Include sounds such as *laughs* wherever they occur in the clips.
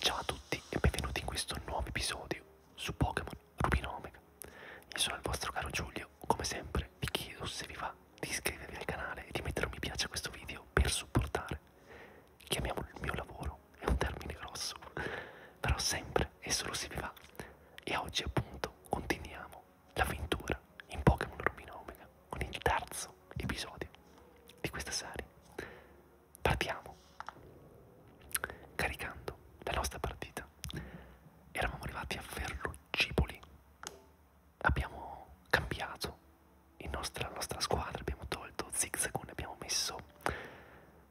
Ciao a tutti e benvenuti in questo nuovo episodio su Pokémon Rubino Omega. Io sono il vostro caro Giulio, come sempre vi chiedo se vi va di iscrivervi al canale e di mettere un mi piace a questo video per supportare. Chiamiamolo il mio lavoro, è un termine grosso, *laughs* però sempre e solo se vi va. E oggi appunto continuiamo l'avventura in Pokémon Rubino Omega con il terzo episodio di questa serie partiamo caricando la nostra partita eravamo arrivati a Ferrugipoli abbiamo cambiato nostro, la nostra squadra abbiamo tolto Zigzagoon abbiamo messo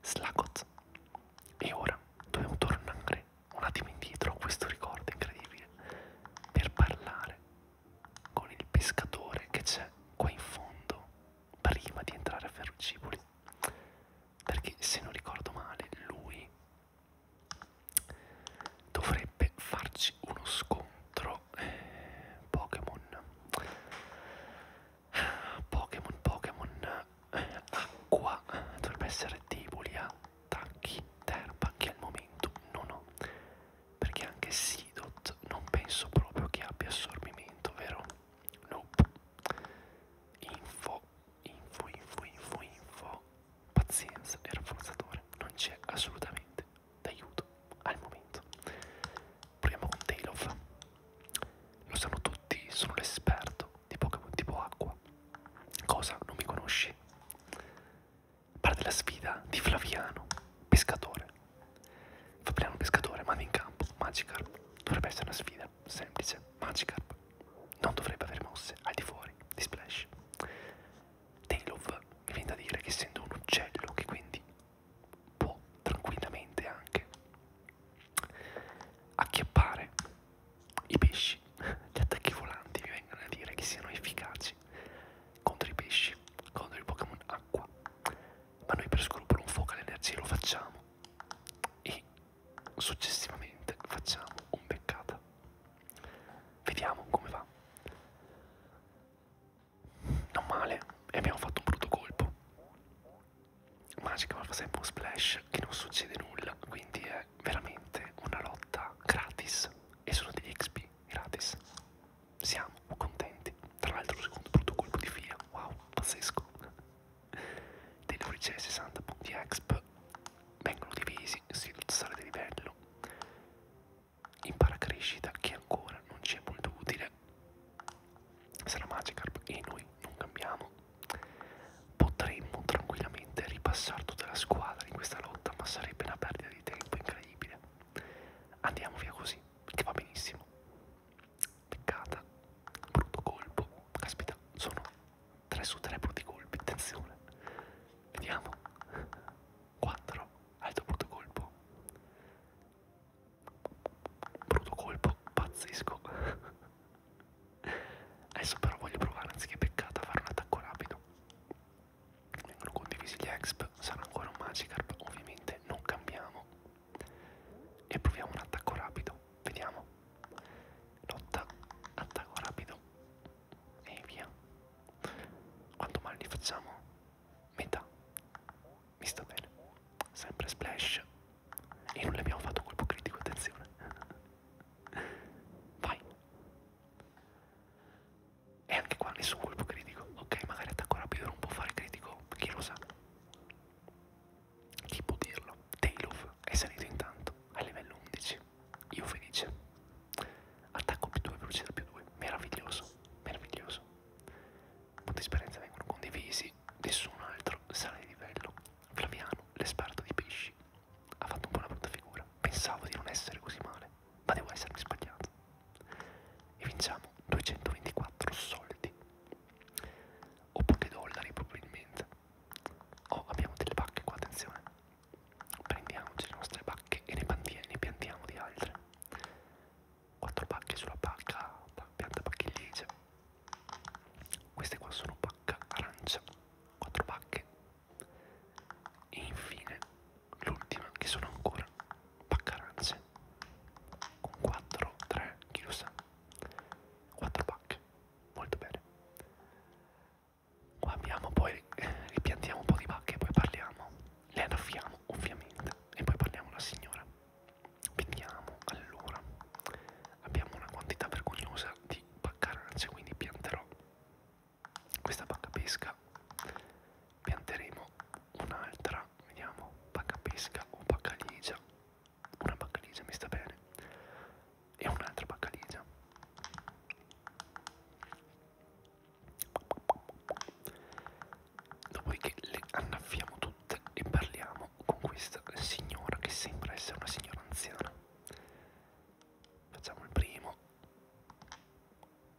Slagot e ora dobbiamo tornare un attimo indietro a questo ricordo incredibile per parlare con il pescatore che c'è qua in fondo prima di entrare a Ferrociboli perché se non ricordo male lui dovrebbe farci uno scontro eh, Pokémon Pokémon Pokémon eh, acqua dovrebbe essere deboli a attacchi terra che al momento non ho perché anche Sidot non penso proprio che abbia assorbimento, vero? Nope. Info, info, info, info, info. Pazienza e rafforzatore. Non c'è assolutamente d'aiuto al momento. Proviamo con Tailov. Lo sanno tutti, sono l'esperto di Pokémon tipo acqua. Cosa? Non mi conosci? Parte la sfida di Flaviano, pescatore. Fabriano Pescatore manda in campo Magikarp. Dovrebbe essere una sfida semplice. Magikarp non dovrebbe avere mosse al di fuori di Splash. Tailov mi viene da dire che essendo un uccello che quindi può tranquillamente anche acchiappare i pesci, gli attacchi volanti mi vengono a dire che siano efficaci contro i pesci, contro i Pokémon acqua ma noi per scrupolo un fuoco all'energia lo facciamo e successivamente facciamo un beccata vediamo come va non male e abbiamo fatto un brutto colpo magica ma fa sempre un splash che non succede nulla quindi è veramente una lotta gratis e sono degli XP gratis siamo contenti. Tra l'altro, secondo brutto colpo di fila, wow, pazzesco. Dei 60 punti exp vengono divisi si sale di livello. Impara crescita che ancora non ci è molto utile. Sarà Magikarp e noi non cambiamo. Potremmo tranquillamente ripassare tutta la squadra in questa lotta, ma sarebbe una perdita di tempo incredibile. Andiamo via così, che va benissimo. Peccata, brutto colpo. Caspita, sono 3 su 3 brutti colpi. Attenzione, vediamo. 4, altro brutto colpo. Brutto colpo, pazzesco. Adesso però voglio provare, anziché peccata, a fare un attacco rapido. Vengono condivisi gli exp, sarà ancora un Magikarp, ovviamente non cambiamo. E proviamo un attacco rapido, vediamo. Lotta, attacco rapido e via. Quanto male li facciamo? Metà. Mi sta bene. Sempre splash. E non le abbiamo fatto colpo critico, attenzione. *laughs* Vai. E anche qua nessun colpo critico. Ok, magari attacco rapido non può fare critico no, chi lo sa. Chi può dirlo? Tailuf è salito intanto a livello 11. Io felice. Attacco più 2, velocità più 2. Meraviglioso, meraviglioso. Punti esperienza vengono condivisi. Nessun altro sale di livello. Flaviano, l'esperto di pesci, ha fatto un po' una brutta figura. Pensavo di non essere così male, ma devo essermi sbagliato e vinciamo 224 soldi o pochi dollari probabilmente oh abbiamo delle bacche qua attenzione prendiamoci le nostre bacche e ne, ne piantiamo di altre 4 bacche sulla bacca pianta bacchigliese queste qua sono bacca arancia 4 bacche e infine l'ultima che sono ancora bacca arancia pack con 4, 3, chi lo sa 4 pack, molto bene qua abbiamo poi eh, ripiantiamo un po' di pacche e poi parliamo le annaffiamo ovviamente e poi parliamo alla signora vediamo allora abbiamo una quantità vergognosa di paccarance quindi pianterò questa pacca pesca pianteremo un'altra, vediamo, pacca pesca o pacca ligia, una pacca ligia mi sta bene, e un'altra pacca ligia. Dopodiché le annaffiamo tutte e parliamo con questa signora che sembra essere una signora anziana. Facciamo il primo,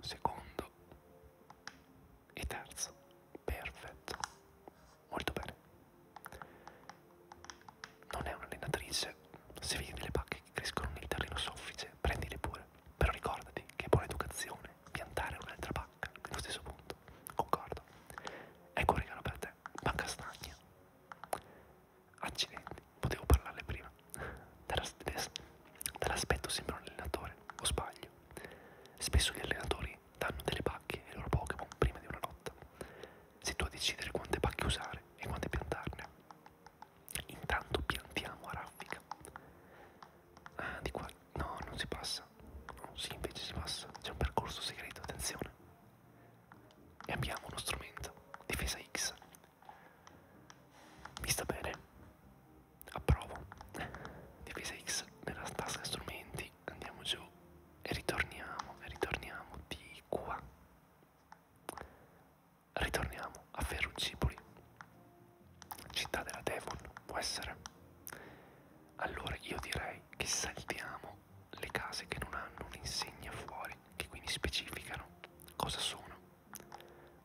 secondo, e terzo. Perfetto. Molto bene. Non è un'allenatrice. Se vedi delle pacche che crescono nel terreno soffice, prendile pure. Però ricordati che è buona educazione piantare un'altra pacca nello stesso punto. Concordo. Ecco un regalo per te. Pacca stagna. Accidenti, potevo parlarle prima. Dall'aspetto sembra un allenatore, o sbaglio. Spesso gli allenatori danno delle pacche ai loro Pokémon prima di una lotta. Sei tu a decidere quante pacche usare e quante piantarne. Intanto piantiamo a raffica. Ah, di qua. No, non si passa. No, oh, sì, invece si passa. C'è un percorso segreto, attenzione. E abbiamo uno strumento. Difesa X. Mi sta bene approvo divisa X nella tasca strumenti andiamo giù e ritorniamo e ritorniamo di qua ritorniamo a Ferrucipoli città della Devon può essere allora io direi che saltiamo le case che non hanno un'insegna fuori che quindi specificano cosa sono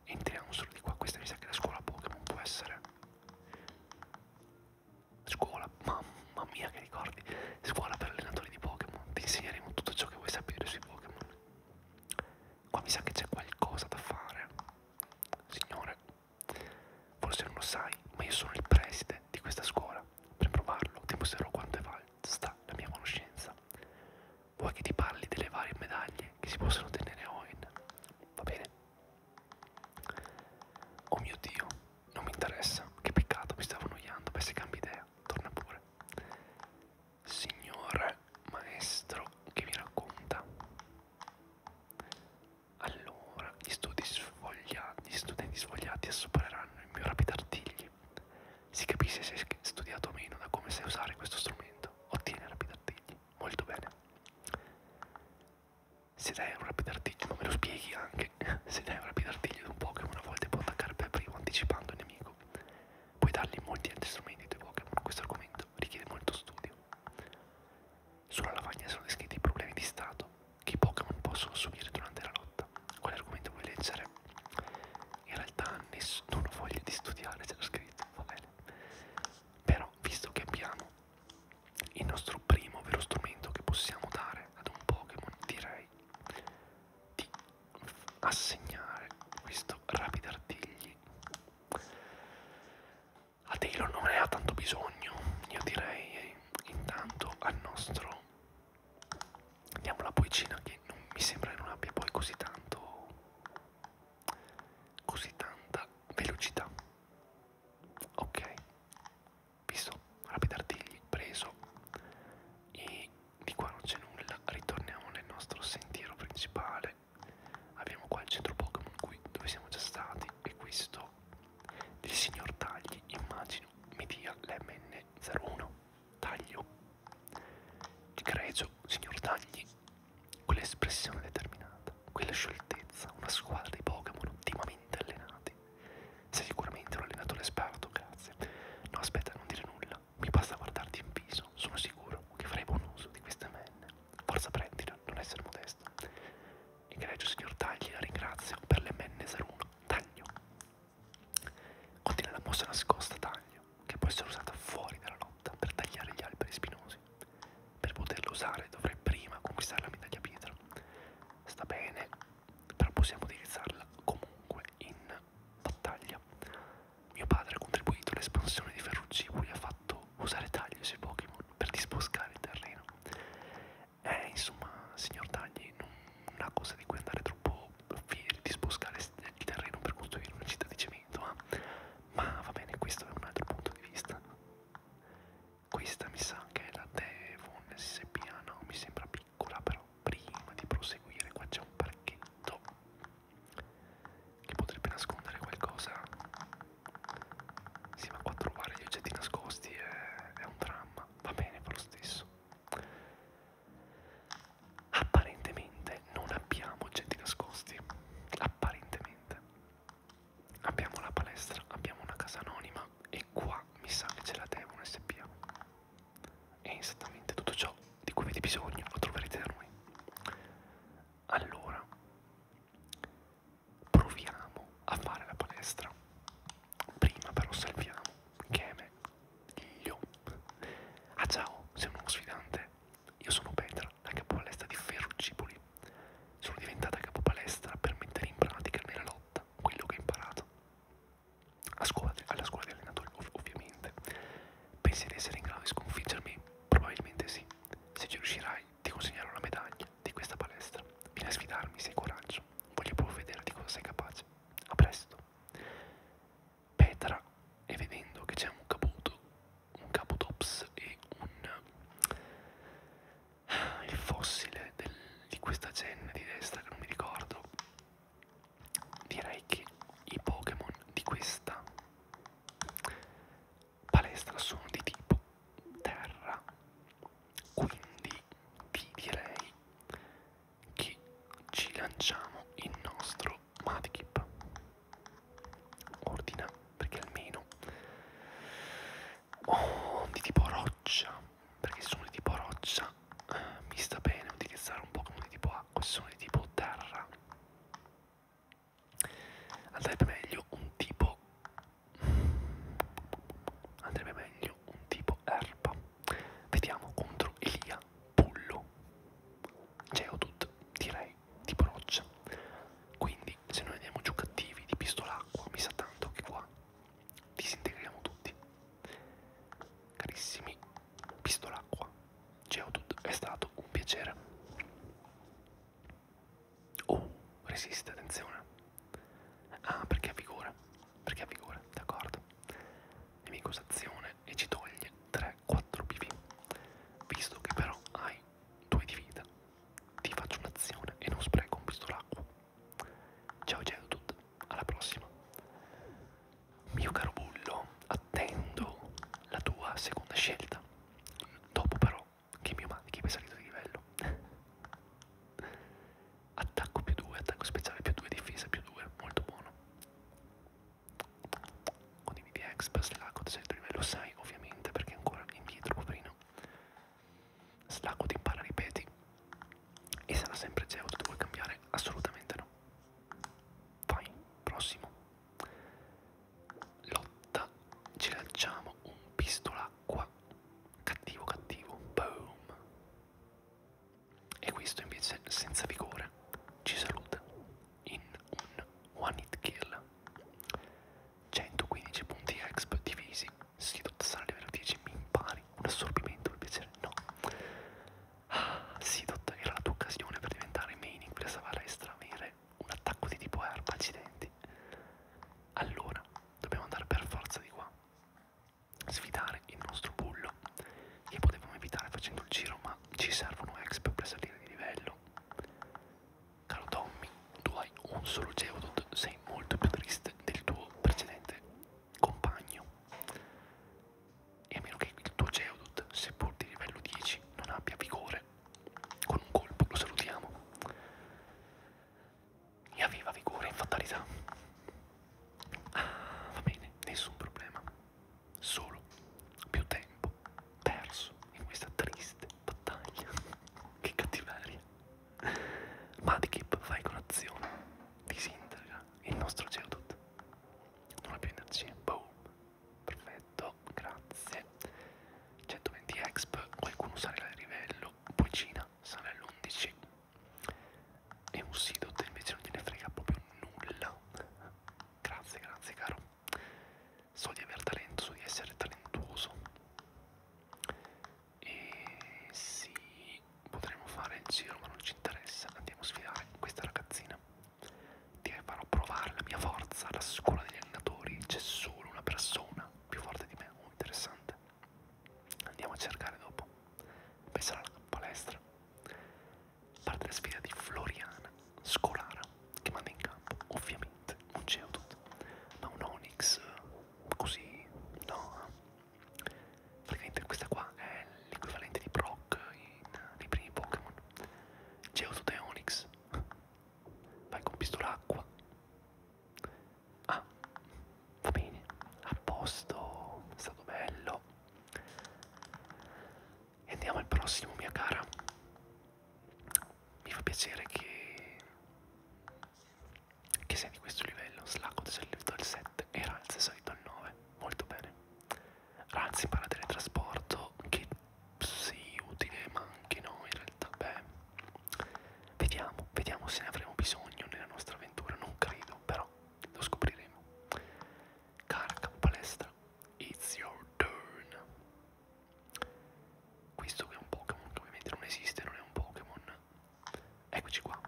entriamo solo di qua questa mi sa che è la scuola Pokémon può essere Scuola, mamma mia che ricordi, scuola per allenatori di Pokémon, ti insegneremo tutto ciò che vuoi sapere sui Pokémon. Qua mi sa che c'è qualcosa da fare. Signore, forse non lo sai, ma io sono il preside di questa scuola. Per provarlo ti mostrerò quanto è valsa la mia conoscenza. Vuoi che ti parli delle varie medaglie che si possono ottenere a Owen? Va bene? Oh mio Dio, non mi interessa, che peccato, mi stavo annoiando, beh se cambi idea, torna pure. Signore maestro, che mi racconta? Allora, gli, studi sfogliati, gli studenti svogliati supereranno il mio rapid artigli. Si capisce se hai studiato o meno da come sai usare questo strumento. Ottieni rapid artigli. Molto bene se dai un rapido artiglio, ma me lo spieghi anche, *laughs* se dai un rapido artiglio di un Pokémon a volte può attaccare per primo anticipando il nemico. Puoi dargli molti altri strumenti ai tuoi Pokémon, questo argomento richiede molto studio. Sulla lavagna sono descritti i problemi di stato che i Pokémon possono subire durante la lotta. Quale argomento vuoi leggere? In realtà non ho voglia di studiare, c'è lo scritto, va bene. Però, visto che abbiamo il nostro primo vero strumento che possiamo dare ad un Pokémon direi di assegnare questo rapidartigli a Taylor non ne ha tanto bisogno io direi eh, intanto al nostro diamo la poicina che non mi sembra che non abbia poi così tanto così tanta velocità ok visto rapida artigli preso e di qua non c'è nulla ritorniamo nel nostro sentiero principale abbiamo qua il centro Pokémon qui dove siamo già stati e questo il signor Tagli immagino mi dia l'MN01 taglio di greggio signor Tagli quell'espressione determinata, quella scioltezza, una squadra di Pokémon ottimamente allenati. Sei sicuramente un allenatore esperto, grazie. No, aspetta, non dire nulla, mi basta guardarti in viso, sono sicuro che farei buon uso di queste menne. Forza prendila, non essere modesto. Egregio signor Tagli, la ringrazio per le menne 01. Taglio. Contiene la mossa nascosta taglio, che può essere usata fuori dalla lotta per tagliare gli alberi spinosi cose. Per poterlo usare dovrei prima conquistare la medaglia pietra. Sta bene, però possiamo utilizzarla comunque in battaglia. Mio padre ha contribuito all'espansione di Ferrucipoli, ha fatto usare tagli sui Pokémon per disboscare il terreno. Eh, insomma, signor Tagli, non una cosa di cui andare troppo fieri, disboscare il terreno per costruire una città di cemento, eh? ma va bene, questo è un altro punto di vista. Questa mi sa che è la Devon SPA, no, mi sembra piccola però prima di proseguire qua c'è un parchetto che potrebbe nascondere qualcosa. Sì ma qua trovare gli oggetti nascosti è, è un dramma, va bene per lo stesso. Apparentemente non abbiamo oggetti nascosti, apparentemente abbiamo la palestra, abbiamo una casa anonima e qua mi sa che ce la devono SPA. E esattamente tutto ciò di cui avete bisogno lo troverete da noi. Allora, proviamo a fare la palestra. Prima però salviamo che è meglio. Ah ciao, sei un nuovo sfidante. Io sono Petra la capopalestra di Ferrucipoli. Sono diventata capopalestra per mettere in pratica nella lotta quello che ho imparato. A scuola, alla scuola di allenatori, ov ovviamente. Pensi di essere in grado di sconfiggermi? Probabilmente sì. Se ci riuscirai, ti consegnerò la medaglia di questa palestra. Vieni a sfidarmi se hai coraggio. Voglio proprio vedere di cosa sei capace. A presto. Petra, e vedendo che c'è un caputo un capotops e un eh, il fossile del, di questa gen di destra che non mi ricordo direi che i Pokémon di questa palestra sono di tipo terra quindi vi direi che ci lanciamo il nostro Madkip ordina perché almeno oh, di tipo roccia perché se sono di tipo roccia eh, mi sta bene utilizzare un po' come di tipo acqua se sono di tipo terra andrebbe meglio un tipo andrebbe meglio un tipo erba vediamo contro Elia Pullo Geodude direi tipo roccia. Quindi, se noi andiamo giù cattivi di pistola acqua, mi sa tanto che qua disintegriamo tutti. Carissimi, pistola acqua, Geodude è stato un piacere. Oh, resiste, attenzione. Ah, perché ha vigore? Perché ha vigore, d'accordo. Nemico sazione e ci toglie 3-4 PV. Visto che però hai 2 di vita. Ti faccio un'azione e non spreco un pistolacqua. Ciao Geodude, alla prossima. Mio caro bullo, attendo la tua seconda scelta. Dopo però che mio manichi è salito di livello. *laughs* attacco più 2, attacco speciale più 2, difesa più 2, molto buono. Condividi Express, la codice del livello 6 ovviamente perché è ancora indietro poverino. Slacco ti impara ripeti e sarà sempre Zeus che vuoi cambiare? Assolutamente no. Vai, prossimo. Lotta, ci lanciamo un pistolacqua. Cattivo, cattivo. Boom. E questo invece senza vigore ci saluta in un one hit kill. 115 punti exp divisi si dotassare a livello 10 mi impari un assorbimento per piacere no ah Sidot era la tua occasione per diventare main in quella savaresta avere un attacco di tipo erba accidenti allora dobbiamo andare per forza di qua sfidare il nostro bullo che potevamo evitare facendo il giro ma ci servono exp per salire di livello Caro Tommy, tu hai un solo Geodude, sei molto più triste del tuo precedente compagno. E a meno che il tuo Geodude, seppur di livello 10, non abbia vigore, con un colpo lo salutiamo. E aveva vigore in fatalità. Ah, va bene, nessun problema. Solo più tempo perso in questa triste battaglia. *laughs* che cattiveria. Madkip fa colazione, disintegra il nostro Geodude. Non ha più energia. Boom. Perfetto, grazie. 120 exp, qualcuno sarà il livello, poi Cina sarà l'11. E un Sidot invece non gliene frega proprio nulla. Grazie, grazie caro so di aver talento, so di essere talentuoso e sì, potremmo fare il giro ma non ci interessa, andiamo a sfidare questa ragazzina ti farò provare la mia forza alla scuola degli allenatori, c'è solo una persona più forte di me, oh, interessante andiamo a cercare dopo penserà alla palestra parte la sfida di Floriana Scolara che manda in campo, ovviamente, un Geodude, ma un Onix così, no? Praticamente questa qua è l'equivalente di Brock in, nei primi Pokémon. Geodude e Onix. Vai con pistolacqua. Ah, va bene, a posto, è stato bello. E andiamo al prossimo, mia cara mi fa piacere che, che sia di questo livello. Slacco di solito al 7 e Ranz di solito al 9. Molto bene. Ranz impara teletrasporto che sì, utile, ma anche no in realtà. Beh, vediamo, vediamo se ne avremo bisogno nella nostra avventura. Non credo, però lo scopriremo. Carica palestra. It's your turn. Questo qui è un Pokémon che ovviamente non esiste, non è un Pokémon. Eccoci qua.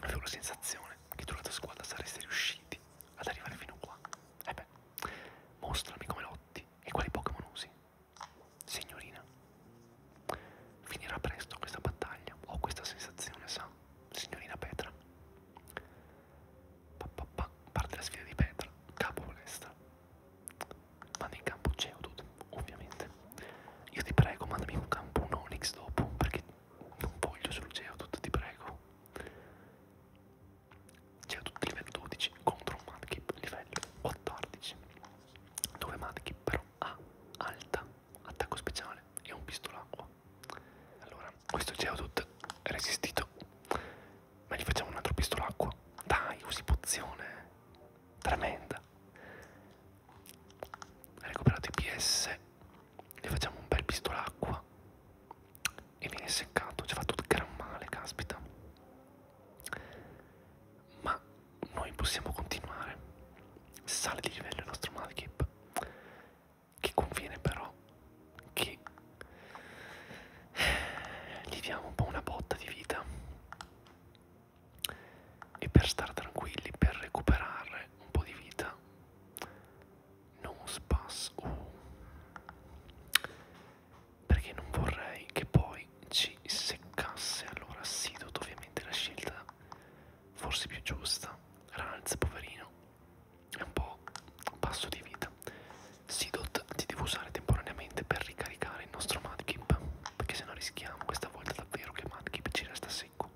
Avevo la sensazione che tu la tua squadra sareste riusciti ad arrivare fino qua. E eh beh, mostrami come lotti e quali Pokémon usi. Signorina, finirà presto questa battaglia. Ho questa sensazione, sa, signorina Petra. Pa, pa, pa. Parte la sfida di Petra, capo palestra vanno in campo Geodude, ovviamente. Io ti prego, mandami un campo, un Onix dopo, perché non voglio solo Geodude, ti prego. Geodude livello 12 contro un Madkip livello 14, dove Madkip però ha alta, attacco speciale e un pistolacqua. Allora, questo Geodude resistito ma gli facciamo un altro pistolacqua. Dai, usi pozione. Tremenda. Recuperato i PS. Gli facciamo un bel pistolacqua. E viene seccato. Ci ha fatto gran male, caspita. Ma noi possiamo continuare. Sale di livello il nostro Malkip. Che conviene però che gli *sighs* diamo un po' una botta di vita e per stare tranquilli, per recuperare un po' di vita, non spas. Uh. Perché non vorrei che poi ci seccasse. Allora, Sidot, ovviamente, la scelta forse più giusta. Ranz, poverino, è un po' un passo di vita. Sidot ti devo usare temporaneamente per ricaricare il nostro Madkip, perché se no rischiamo questa volta davvero che Madkip ci resta secco.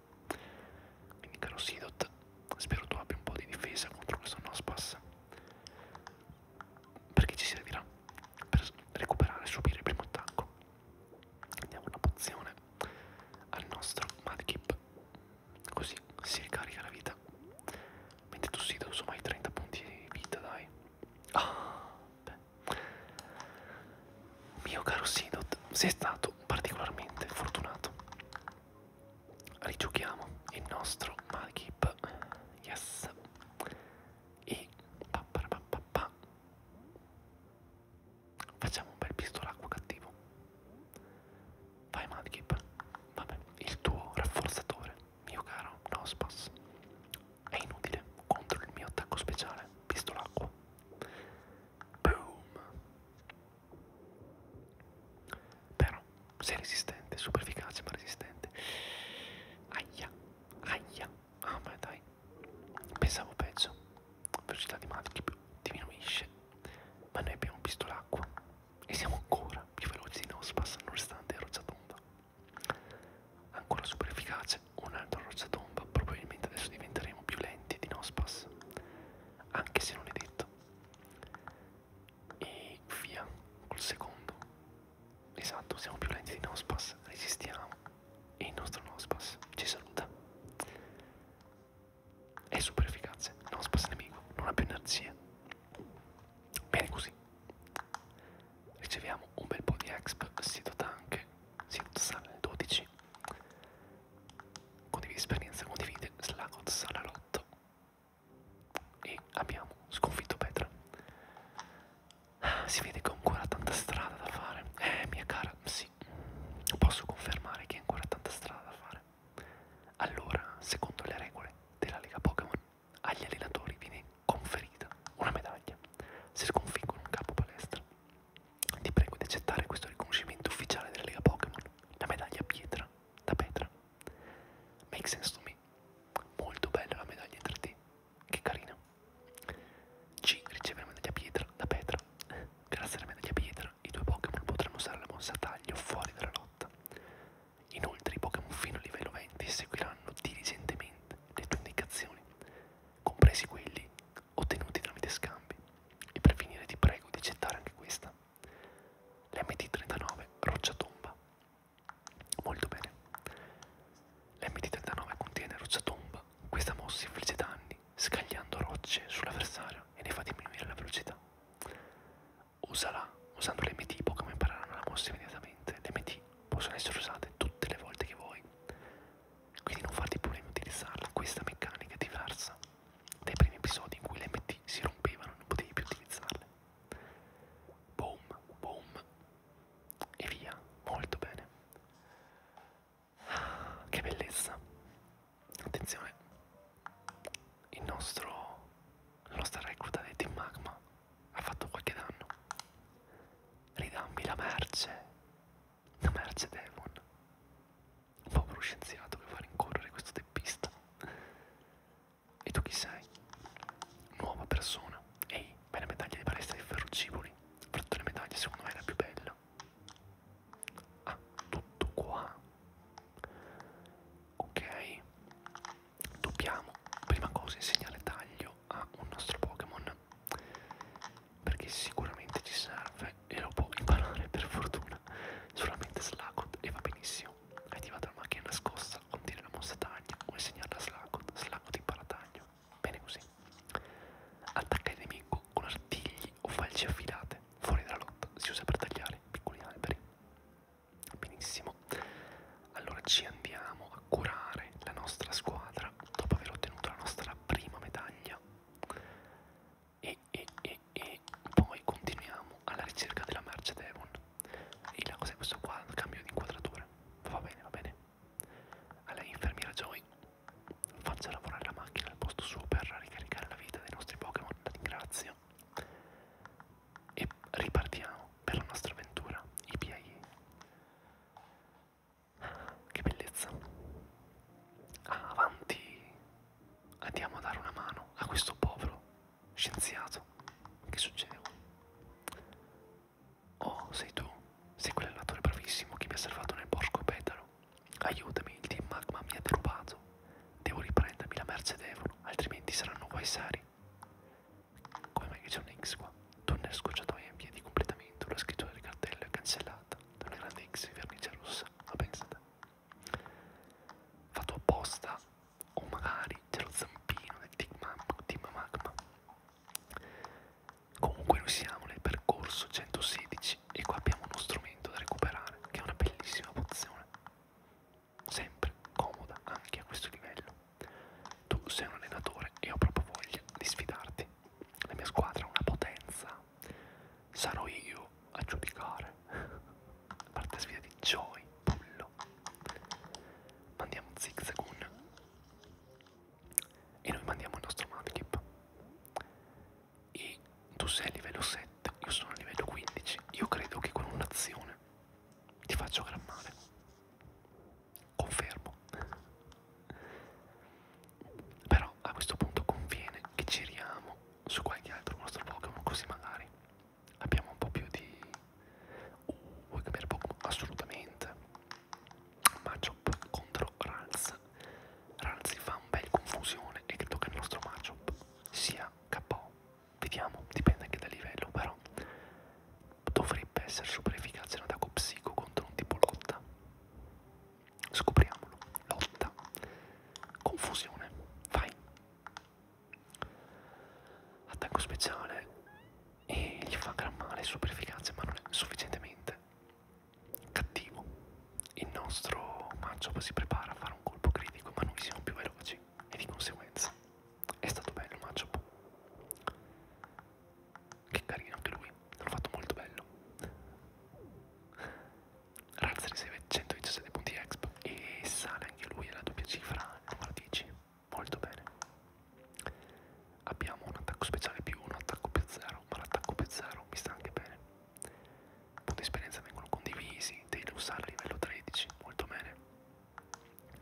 Quindi caro Sidot, spero tu abbia un po' di difesa contro questo Nospas, perché ci servirà per recuperare e subire il primo attacco. Diamo una pozione al nostro Madkip, così si ricarica la vita. Mentre tu Sidot, insomma, hai 30 punti di vita, dai. Ah, beh. Mio caro Sidot, sei stato particolarmente fortunato. Rigiochiamo il nostro Magip. Yes. E pa, pa, pa, pa, pa. facciamo un bel pistolacqua cattivo. Vai Magip. Vabbè, il tuo rafforzatore mio caro Nospas, è inutile contro il mio attacco speciale, visto l'acqua. Boom! Però, sei resistente, super efficace ma resistente. Aia, aia, ah ma dai, pensavo peggio. Velocità di Magic diminuisce, ma noi abbiamo visto l'acqua e siamo ancora più veloci di Nospas nonostante ero già tonda. Ancora super efficace, un'altra rocciatomba, probabilmente adesso diventeremo più lenti di Nospas, anche se non è detto. E via, col secondo. Esatto, siamo più lenti di Nospas, resistiamo e il nostro Nospas ci saluta. È super efficace, Nospas nemico, non ha più energia, Bene così. Riceviamo un bel po' di exp, si dota anche, si dota sale il 12. Condividi esperienza, condivide, slagot sale all'8. E abbiamo sconfitto Petra. Si vede che ho ancora tanta strada da fare. Eh, mia cara, sì. Posso confermare che ho ancora tanta strada da fare. Allora, secondo le regole della Lega Pokémon, agli allenatori viene conferita una medaglia se sconfiggono un capo palestra. Ti prego di accettare questo riconoscimento ufficiale della Lega Pokémon, la medaglia pietra da Petra. Make sense to me. Molto bella la medaglia tra te, che carina. C riceve la medaglia pietra da Petra. Grazie alla medaglia pietra i due Pokémon potranno usare la mossa taglio fuori dalla lotta. Inoltre i Pokémon fino a livello 20 seguiranno diligentemente le tue indicazioni, compresi quelli ottenuti tramite scambi. E per finire ti prego di accettare anche questa. L'MT39 Rocciatomba. Molto bene. L'MT39 contiene Rocciatomba, questa mossa infligge danni scagliando rocce sull'avversario e ne fa diminuire la velocità. Usala usando l'MT, Pokémon impareranno la mossa immediatamente. L'MT possono essere usate tutte le volte che vuoi quindi non farti problemi utilizzarla questa meccanica è diversa dai primi episodi in cui le MT si rompevano non potevi più utilizzarle boom boom e via molto bene ah, che bellezza attenzione il nostro la nostra recluta del team magma ha fatto qualche danno. Ridammi la merce. La merce Devon. Un povero scienziato che fa rincorrere questo teppista. E tu chi sei? Nuova persona. Ehi, hai la medaglia di palestra di Ferrocivoli. Fra tutte le medaglie secondo me è la più bella. Ah, tutto qua. Ok dobbiamo prima cosa insegnare taglio a un nostro Pokémon perché sicuramente ci serve e lo può imparare per fortuna solamente Slacot e va benissimo attiva la macchina nascosta contiene la mossa taglio o insegnarla a Slacot Slacot impara taglio bene così attacca il nemico con artigli o falci affilate fuori dalla lotta si usa per tagliare piccoli alberi Benissimo, allora ci andiamo a curare la nostra squadra dopo aver ottenuto la nostra prima medaglia e, e, e, e poi continuiamo alla ricerca della merce Devon. E la cosa è questo qua, cambio di inquadratura, va bene, va bene. A lei infermiera Joy, faccia lavorare la macchina al posto suo per ricaricare la vita dei nostri Pokémon, la ringrazio e ripartiamo per la nostra avventura IPIE. Che bellezza! Ah, avanti! Andiamo a dare una mano a questo povero scienziato. Che succede? Oh, sei tu? Sei quell'allatore bravissimo che mi ha salvato nel porco petalo. Aiutami, il team Magma mi ha derubato. Devo riprendermi la merce d'Evolo, altrimenti saranno guai seri. Come mai c'è un X qua? Tunnel scorciatoia in via di completamento, la scrittura del cartello è cancellata da una grande X di vernice rossa, ma pensate. Fatto apposta, o magari c'è lo zampino del Team Magma. Comunque noi siamo nel percorso 116 e qua abbiamo uno strumento da recuperare, che è una bellissima pozione sempre comoda anche a questo livello. Tu sei un allenatore e ho proprio voglia di sfidarti. La mia squadra è una potenza. Sarò io a giudicare. A parte sfida di Joy, pullo. Mandiamo Zigzagoon. E noi mandiamo il nostro Madkip. E tu sei a livello 7, io sono a livello 15. Io credo che con un'azione ti faccio gran male. Confermo. Però a questo punto conviene che giriamo su qualche altro nostro Pokémon così magari abbiamo un po' più di... Uh, vuoi cambiare Pokémon? Assolutamente. Matchup contro Ralz. Ralz fa un bel confusione e credo che il nostro matchup sia KO Vediamo, dipende anche dal livello, però dovrebbe essere super efficace un attacco psico contro un tipo lotta. Scopriamolo. Lotta. Confusione. Vai. Attacco speciale e gli fa gran male, super efficace, ma non è sufficientemente cattivo. Il nostro maggio si prepara a fare un colpo critico, ma noi siamo più veloci e di conseguenza è stato bello matchup che carino anche lui l'ho fatto molto bello Razza riceve 117 punti exp e sale anche lui alla doppia cifra numero 10 molto bene abbiamo un attacco speciale più 1 attacco più 0 ma l'attacco più 0 mi sta anche bene punti esperienza vengono condivisi devi usare a livello 13 molto bene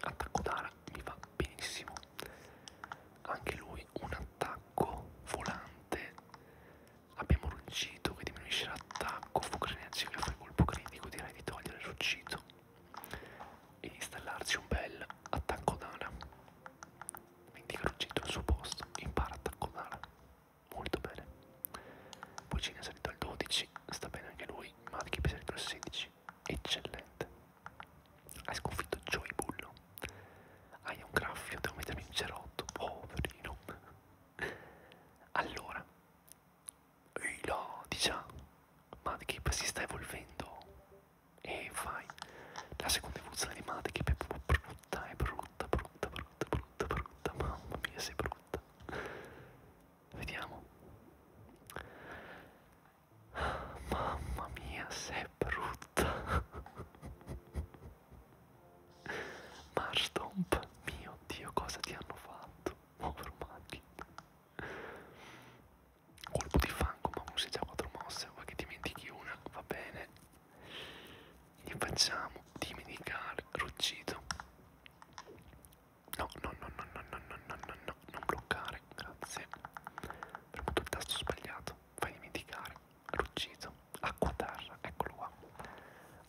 Attacco d'ala mi va benissimo. Anche lui un attacco volante. Abbiamo ruggito che diminuisce l'attacco. Fuoco energia che fa il colpo critico. Direi di togliere ruggito e di installarsi un bel attacco d'ala. Indica ruggito al suo posto. Impara attacco d'ala. Molto bene. Poi Cine è salito al 12. Sta bene anche lui. Marchi è salito al 16. 10, eccellente. Hai sconfitto Joy Bullo. Hai un graffio, devo mettermi in cerotto, poverino. Allora, ehi là, diciamo, Madkip si sta evolvendo. E fai la seconda evoluzione di Madkip è proprio brutta, è brutta, brutta, brutta, brutta, brutta. Mamma mia, sei brutta. Vediamo. Mamma mia, sei brutta. Marstomp, mio Dio, cosa ti hanno fatto? Povero Maghi. Colpo di fango, ma usi già quattro mosse, vuoi che dimentichi una? Va bene. Gli facciamo dimenticare ruggito. No, no, no, no, no, no, no, no, no, no, non bloccare, grazie. Ho premuto il tasto sbagliato, fai dimenticare. L'ucciso, acqua terra, eccolo qua.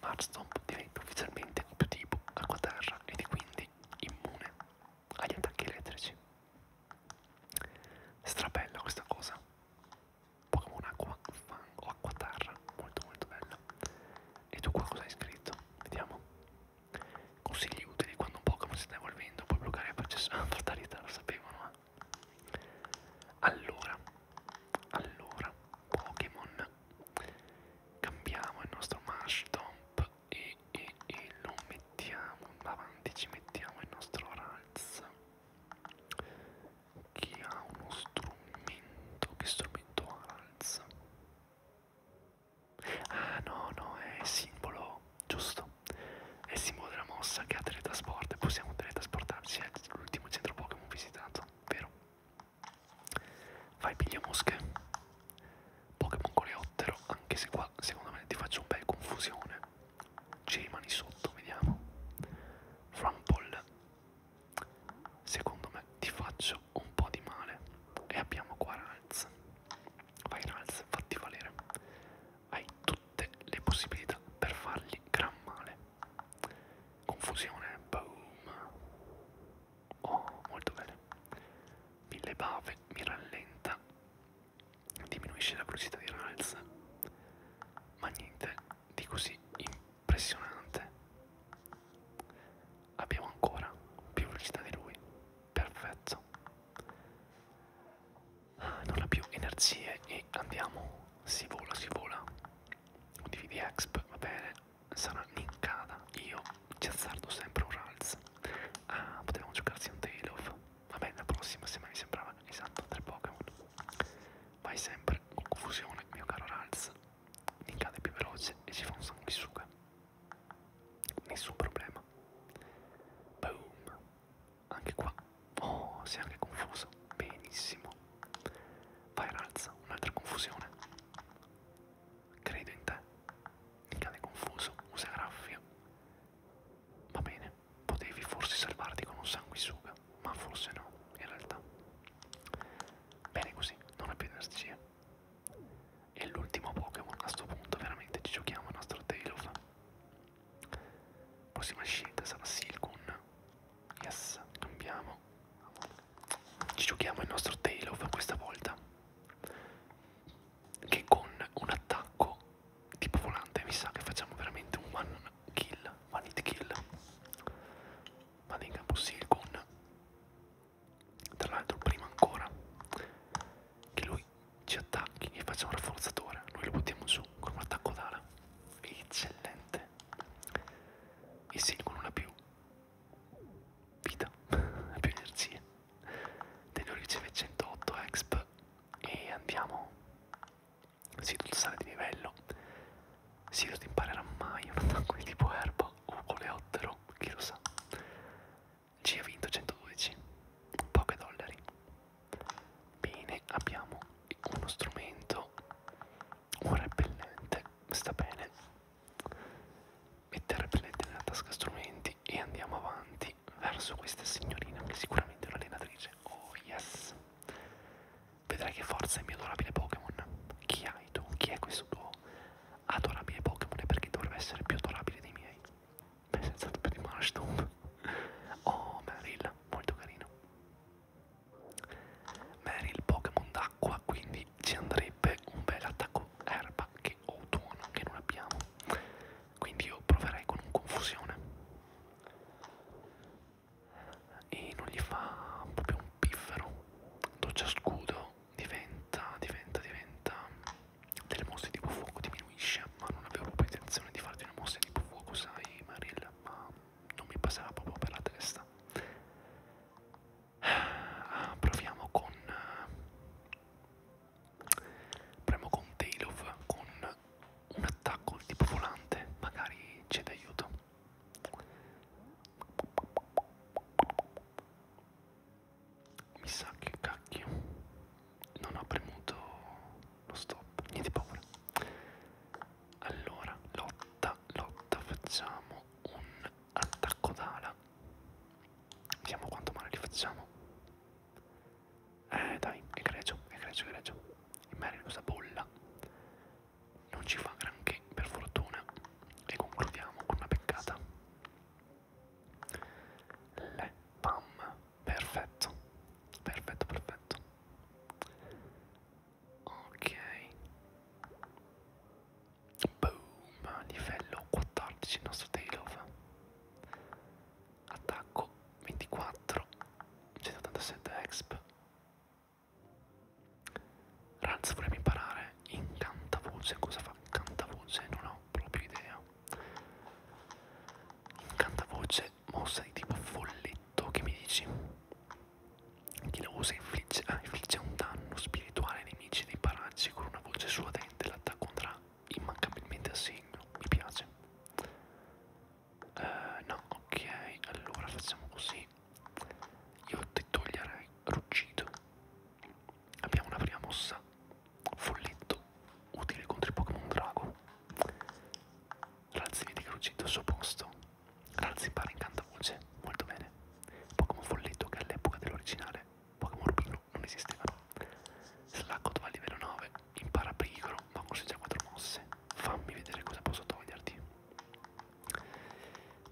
Marstomp diventa ufficialmente più tipo acqua terra ed è quindi immune agli attacchi elettrici. Strabella questa cosa. Pokémon acqua fango, acqua terra, molto molto bella. E tu qua cosa hai scritto? Vediamo. Consigli utili quando un Pokémon si sta evolvendo, puoi bloccare il processo di fatalità, lo sapevano. Eh? Allora, allora, Pokémon, cambiamo il nostro Mashdump e, e, e lo mettiamo avanti, ci mettiamo il nostro Ralz che ha uno strumento, che strumento ha Ralz? Ah no, no, è simbolo, giusto? È il simbolo della mossa che ha teletrasporto e possiamo teletrasportarci. È l'ultimo centro Pokémon visitato, vero? Fai piglia mosche. Pokémon coleottero, anche se qua secondo me ti faccio un bel confusione. Ci rimani sotto, vediamo. Rumble. Secondo me ti faccio un po' di male. E abbiamo Quaralz. Virals, fatti valere. Hai tutte le possibilità per fargli gran male. Confusione, boom. Oh, molto bene. Mille bave, mi rallenta. Diminuisce la velocità di Rals. Ma niente di così impressionante. Abbiamo ancora più velocità di lui perfetto ah, non ha più energie e andiamo si vola si vola dividi exp va bene sarà linkata io ci azzardo sempre un ralz ah potevamo giocarsi un tail off va bene la prossima se mai mi sembrava esatto tre Pokémon vai sempre con confusione mio caro ralz linkata è più veloce e ci fa un sanguisuga Nessun problema. Boom. Anche qua. Oh, sei anche confuso. Benissimo. Vai, razza, un'altra confusione. Credo in te. Ricade confuso, usa graffia. Va bene, potevi forse salvarti con un sanguisuga, ma forse no, in realtà. Bene così, non ha più energia. E l'ultimo Pokémon a sto punto, veramente ci giochiamo il nostro Tailov. Prossima scelta sarà Silcoon. Yes, cambiamo. Ci giochiamo il nostro Tailov questa volta. Che con un attacco tipo volante mi sa che facciamo veramente un one kill, one hit kill. Vado in campo Silcoon tra l'altro prima ancora che lui ci attacchi e faccia un rafforzatore noi lo buttiamo su con un attacco d'ala eccellente e Silco non ha più vita *laughs* ha più energie Tenor riceve 108 exp e andiamo Sidut sale di livello Sidut imparerà mai un attacco di tipo erba o coleottero chi lo sa ci ha vinto 112 poche dollari bene abbiamo uno strumento un repellente sta bene mettere il repellente nella tasca strumenti e andiamo avanti verso questa signorina che sicuramente è un'allenatrice oh yes vedrai che forza è il mio adorabile Pokémon chi hai tu? chi è questo tuo adorabile Pokémon e perché dovrebbe essere più adorabile dei miei. Beh, senza dubbio di Marshtomp. Oh, Meryl, molto carino. Meryl Pokémon d'acqua, quindi ci andrebbe un bel attacco erba che ho tuono, che non abbiamo. Quindi io proverei con un confusione. E non gli fa proprio un piffero. Doccia scudo diventa, diventa, diventa delle mosse tipo fuoco diminuisce, ma non avevo proprio intenzione di fare delle mosse tipo fuoco, sai Maril, ma non mi passava proprio per la testa. Ah, proviamo con... Proviamo con Tail of, con un attacco tipo volante, magari c'è d'aiuto. Mi sa che cacchio. Non ho premuto lo stop. Niente paura. Allora, lotta, lotta. Facciamo un attacco d'ala. Vediamo quanto male li facciamo. Eh dai, è greggio, è greggio, è greggio. Il Mary usa bolla. Non ci fa granché, per fortuna. E concludiamo con una peccata. Le pam, perfetto, perfetto, perfetto. Ok, boom, livello 14 il nostro tail off. Attacco 24, 187 exp. Ranz vorrebbe imparare in cantavoce, cosa fa cantavoce? Non ho ho proprio idea. Incantavoce, mossa di tipo folletto, che mi dici? Chi la usa infligge, ah, infligge un danno spirituale ai nemici dei paraggi con una voce suadente, l'attacco andrà immancabilmente a segno, mi piace. Uh, no, ok, allora facciamo così. Io ti toglierei ruggito. Abbiamo una prima mossa Folletto, utile contro i Pokémon Drago. Ralzi vedi crucito al suo posto. Ralzi pare incantavoce, molto bene. Pokémon Folletto che all'epoca dell'originale Pokémon Rubino non esistevano. Slacot va a livello 9, impara pericolo, ma consegna 4 mosse. Fammi vedere cosa posso toglierti.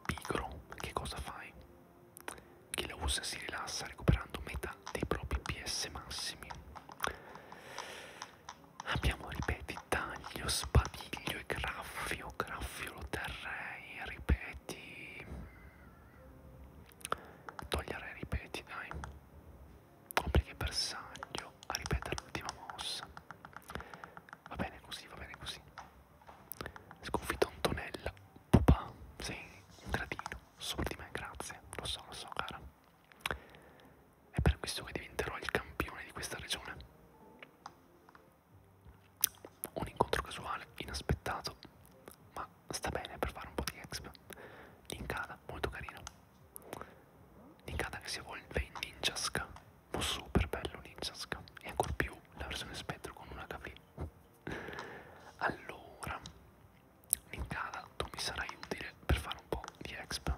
Pigro, che cosa fai? Chi la usa si rilassa recuperando metà dei propri PS massimi. Abbiamo, ripeti, taglio, spadiglio e graffio. Graffio lo terrei, ripeti. Toglierei, ripeti, dai. Complica il bersaglio a ripetere l'ultima mossa. Va bene così, va bene così. Sconfitto Antonella Papà, sei un gradino sopra di me, grazie, lo so, lo so, cara. È per questo che diventerò il campione di questa regione. Un incontro casuale, inaspettato, ma sta bene per fare un po' di exp. Linkada, molto carino. Linkada che si evolve in Ninjask. Oh, super bello Ninjask. E ancora più la versione Spectre con una KV. Allora, Ninkada, tu mi sarai utile per fare un po' di exp.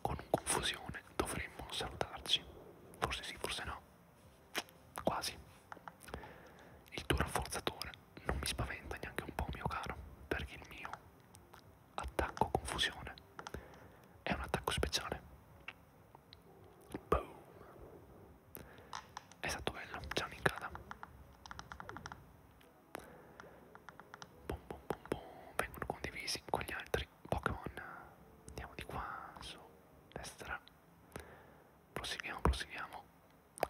Con un confusione dovremmo salutarci. Forse sì, forse no. Quasi. Il tuo rafforzatore non mi spaventa neanche un po', mio caro, perché il mio attacco confusione è un attacco speciale. Boom è stato bello, ciao Nincada Bum bum bum bum, vengono condivisi con gli altri Pokémon Andiamo di qua, su, destra Proseguiamo, proseguiamo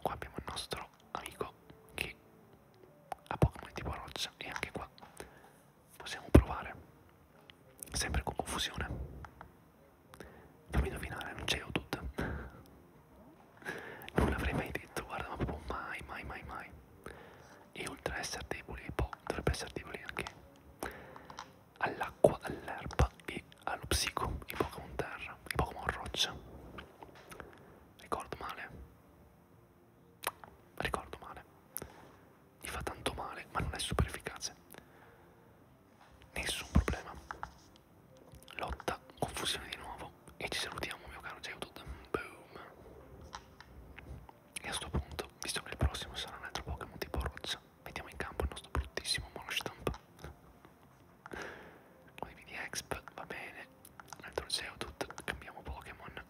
Qua abbiamo il nostro amico che ha Pokémon tipo roccia e anche qua possiamo provare sempre con confusione Fammi indovinare, non c'è Odud. non l'avrei mai detto, guarda, ma proprio mai, mai, mai, mai. E oltre a essere deboli, poi boh, dovrebbe essere deboli anche all'acqua, all'erba e allo psico, i Pokémon terra, i Pokémon roccia. Ricordo male. Ricordo male. Gli fa tanto male, ma non è super efficace nessun problema. Lotta, confusione di nuovo e ci salutiamo mio caro Geodude. Boom. E a sto punto, visto che il prossimo sarà un altro Pokémon tipo roccia, mettiamo in campo il nostro bruttissimo monostamp. Condividi Exp, va bene. Un altro Geodude, cambiamo Pokémon.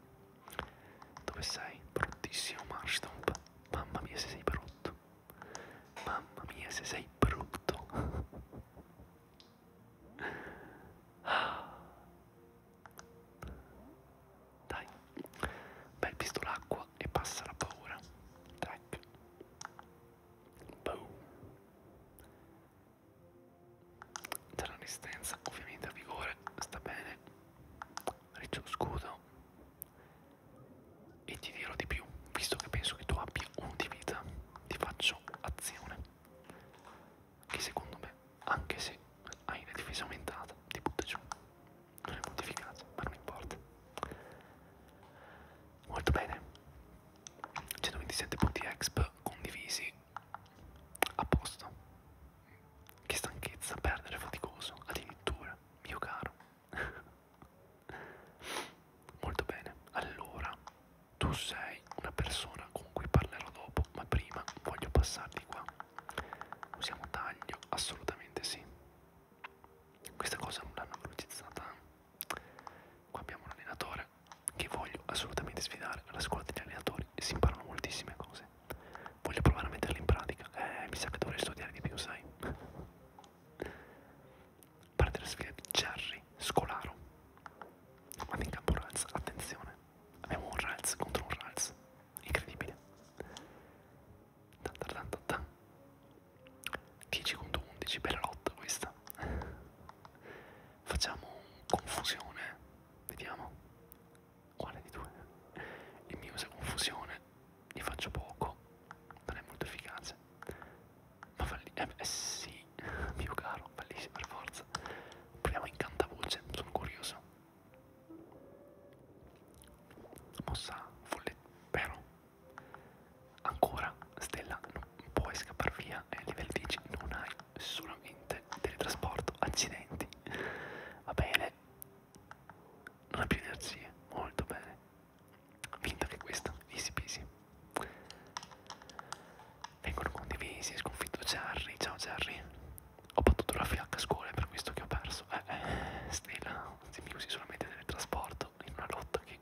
Dove sei? Bruttissimo Marstomp. Mamma mia se sei brutto. Mamma mia, se sei brutto. Dai, bel visto l'acqua e passa la paura. Tac. Boom. C'è la resistenza, ovviamente a vigore, sta bene. Riccio scudo. E ti dirò di più, visto che penso che tu abbia un di vita, ti faccio azione. Che secondo me, anche se hai una difesa aumentata, ti butta giù. Non è modificata, ma non importa. Molto bene. 127 punti exp condivisi a posto. Che stanchezza, perdere faticoso, addirittura, mio caro. *laughs* Molto bene, allora tu sei una persona con cui parlerò dopo, ma prima voglio passarti qua. Usiamo taglio, assolutamente sì. Questa cosa non l'hanno velocizzata. Qua abbiamo un allenatore che voglio assolutamente sfidare alla scuola degli allenatori e si imparano moltissime cose. Voglio provare a metterle in pratica. Eh, mi sa che dovrei studiare di più, sai parte della sfida di Jerry Scolaro. Ma in campo Rals, attenzione, abbiamo un Rals contro un Rals, incredibile. 10 contro 11, bella lotta questa. Facciamo confusione, vediamo. Quale di due? Il mio usa confusione, gli faccio poco, non è molto efficace. Ma falli... Eh, eh sì, *laughs* mio caro, fallisci per forza. Proviamo incantavoce, sono curioso. Mossa folle, vero? Ancora, Stella, non puoi scappare via. E livello 10 non hai solamente teletrasporto, accidenti. Va bene. Non ha più energie, molto bene. Vinta anche questa, easy peasy. Vengono condivisi, sconfitto Jerry, ciao Jerry. Ho battuto la fiacca a scuola, è per questo che ho perso. Eh, eh Stella, se mi usi solamente nel trasporto, in una lotta che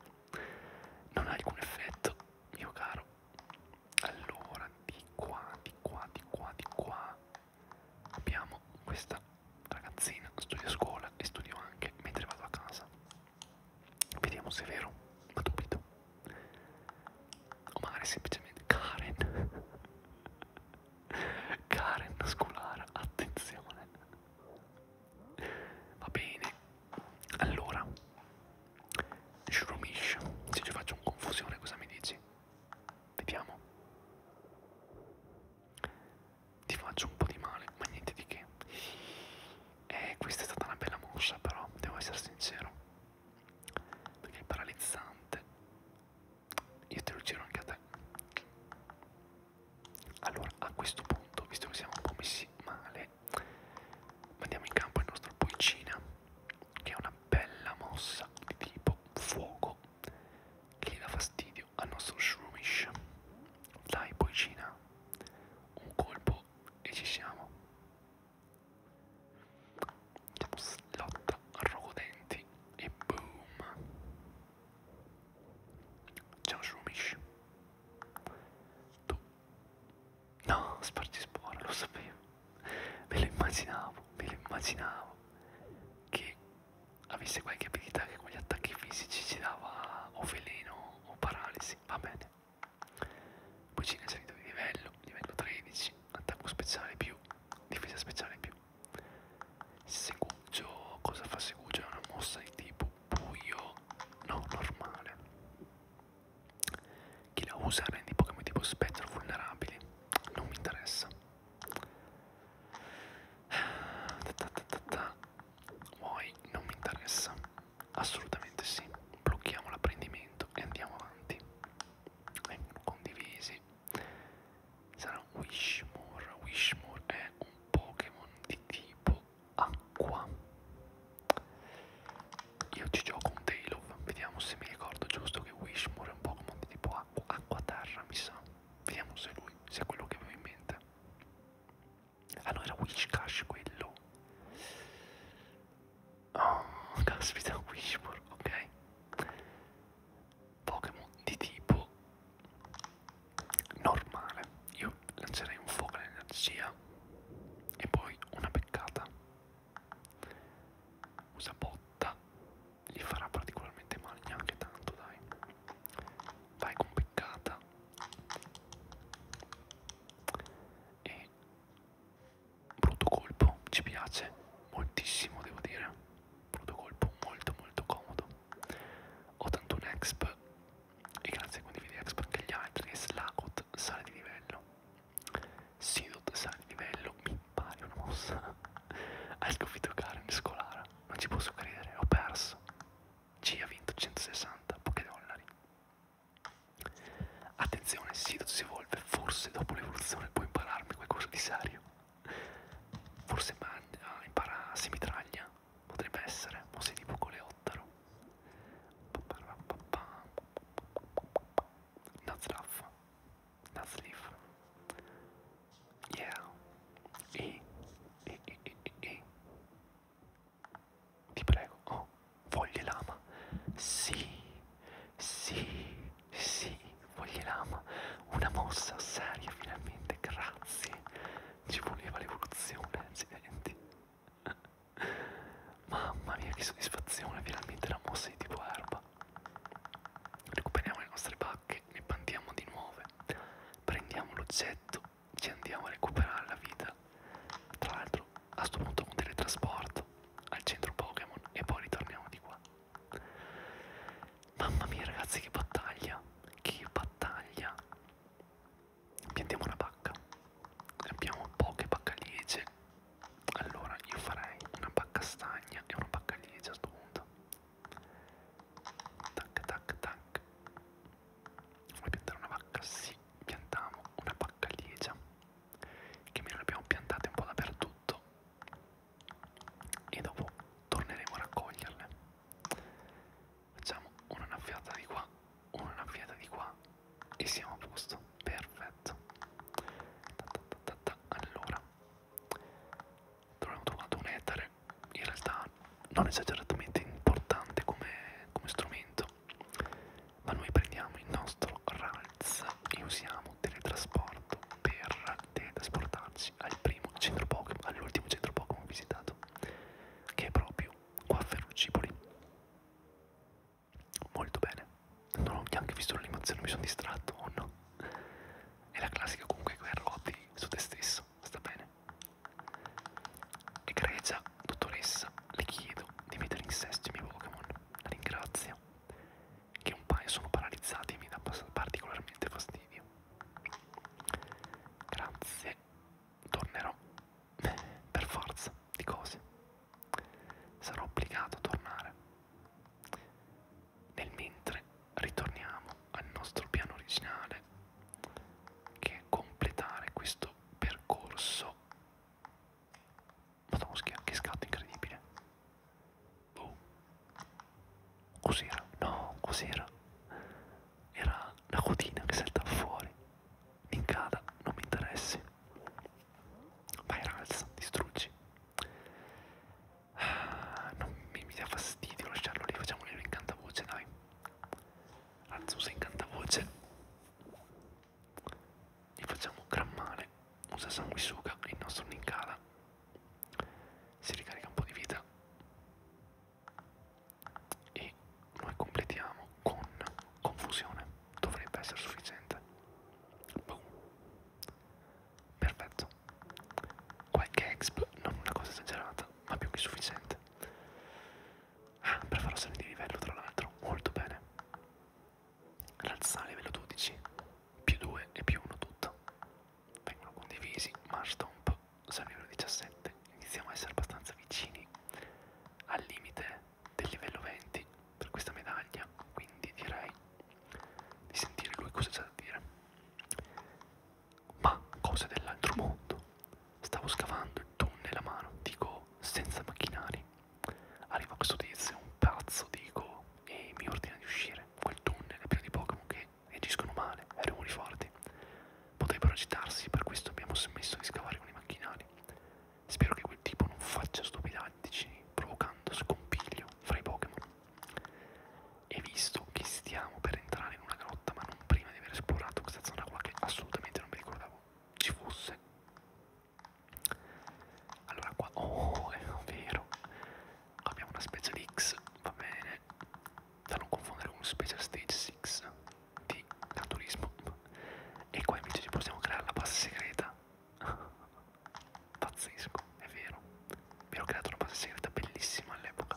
non ha alcun effetto, mio caro. Allora, di qua, di qua, di qua, di qua. Abbiamo questa ragazzina, studio a scuola e studio anche mentre vado a casa. Vediamo se è vero, ma dubito. O magari semplicemente Karen. *laughs* Karen scolara, attenzione. Va bene. Allora, Shromish, se ci faccio un confusione cosa mi dici? Vediamo ti faccio un po' di male, ma niente di che. E questa è stata una bella mossa, però, devo essere sincero, perché è paralizzante. Io te lo giro anche a te. Allora, a questo punto, visto che siamo un po' messi male, mandiamo in campo il nostro Poicina, che è una bella mossa di tipo fuoco che gli dà fastidio al nostro Shroomish. Dai, Poicina, un colpo e ci siamo lotta rogodenti e boom ciao Shumish tu no sparti spora lo sapevo me lo immaginavo me lo immaginavo che avesse qualche abilità che con gli attacchi fisici ci dava o veleno o paralisi, va bene. Cucina è salito di livello, livello 13, attacco speciale più, difesa speciale più. Segugio, cosa fa Segugio? È una mossa di tipo buio, no, normale. Chi la usa rende i Pokémon tipo spettro vulnerabili, non mi interessa. *sighs* Ta ta ta ta ta. Muoi, non mi interessa. Assolutamente sì. Blocchiamo l'apprendimento e andiamo avanti. Vengono eh, condivisi. Sarà Wishmore. Wishmore è un Pokémon di tipo acqua. Io ci gioco un Tail of. Vediamo se mi ricordo giusto che Wishmore è un Pokémon di tipo acqua. Acqua-terra, mi sa. Vediamo se lui, se è quello che avevo in mente. Ah no, era Wishcash quello. Oh, caspita, Wishmore, ok. Pokémon di tipo normale. Io lancerei un fuoco all'energia e poi una peccata. Usa botta, gli farà particolarmente male neanche tanto, dai. Vai con peccata. E brutto colpo, ci piace moltissimo, devo dire. Brutto colpo molto molto comodo. Ho tanto un exp e grazie a condividi exp anche gli altri. E Slagot sale di livello. Sidot sale di livello, mi pare una mossa. Hai *laughs* sconfitto Karen Scolara, non ci posso credere, ho perso. C ha vinto 160 Pokédollari. Attenzione, Sidot si evolve, forse dopo l'evoluzione può impararmi qualcosa di serio. Forse mangia, ah, impara semitraglia, potrebbe essere, o sei tipo coleottero. Nazraf, Nazlif. Yeah. E, e, e, e, e. Ti prego, oh, vogli lama. Sì, sì, sì, vogli lama. Una mossa seria finalmente, grazie. Ci voleva l'evoluzione, accidenti. *laughs* Mamma mia, che soddisfazione, finalmente la mossa di tipo erba. Recuperiamo le nostre pacche, ne pantiamo di nuove. Prendiamo l'oggetto ci andiamo a recuperare la vita. Tra l'altro, a sto punto un teletrasporto al centro Pokémon e poi ritorniamo di qua. Mamma mia, ragazzi, che battaglia! Che battaglia! Piantiamo una pacca. Abbiamo poche paccaliece. Allora, io farei una pacca stagna e una paccaliece a sto punto. Tac, tac, tac vuoi piantare una vacca? Sì, piantiamo una vacca liegia che me ne abbiamo piantate un po' dappertutto e dopo torneremo a raccoglierle facciamo una annaffiata di qua una annaffiata di qua e siamo a posto perfetto ta ta ta ta ta. allora Troviamo trovato un ettare in realtà non esageratamente importante come, come strumento, ma noi prendiamo il nostro RALS e usiamo teletrasporto per teletrasportarci al primo centro Pokémon, all'ultimo centro Pokémon visitato, che è proprio qua a Ferrucipoli. Molto bene, non ho neanche visto l'animazione, mi sono distratto o oh no? È la classica comunque guerrotti su te stesso, sta bene, Egregia dottoressa, le chiedo di mettere in sesto i miei Pokémon. La ringrazio. Che un paio sono paralizzati e mi dà particolarmente fastidio. Grazie. Tornerò. *laughs* Per forza di cose. Sarò obbligato a tornare. Nel mentre ritorniamo al nostro piano originale che è completare questo percorso madonna schia, che scatto incredibile oh cos'era? no, cos'era? era la cotina che saltava fuori Nincada, non mi interessi vai ralza, distruggi ah, non mi, mi dà fastidio lasciarlo lì, facciamogli un incantavoce dai Azusa in cantavoce gli facciamo un gran male usa sanguisuga il nostro Ninkala si ricarica un po' di vita e noi completiamo con confusione dovrebbe essere sufficiente Boom. perfetto qualche exp non una cosa esagerata ma più che sufficiente Ah, perforazione di livello tra l'altro, molto bene. Razzale livello 12, più 2 e più 1 tutto. Vengono condivisi, Marstomp, siamo livello 17, iniziamo a essere abbastanza vicini al limite del livello 20 per questa medaglia, quindi direi di sentire lui cosa c'è da dire ma cose dell'altro mondo. Stavo scavando il tunnel a mano, dico senza macchinari. Arriva questo tizio, un pazzo, dico, e mi ordina di uscire. Quel tunnel è pieno di Pokémon che agiscono male, ai rumori forti. Potrebbero agitarsi, per questo abbiamo smesso di scavare con i macchinari. Spero che quel tipo non faccia stupidaggini provocando scompiglio fra i Pokémon. E visto che stiamo per entrare in una grotta ma non prima di aver esplorato questa zona qua che assolutamente non mi ricordavo ci fosse allora qua oh è vero abbiamo una special X va bene da non confondere con special stage 6 di naturismo e qua invece ci possiamo creare la base segreta pazzesco è vero mi ero creato una base segreta bellissima all'epoca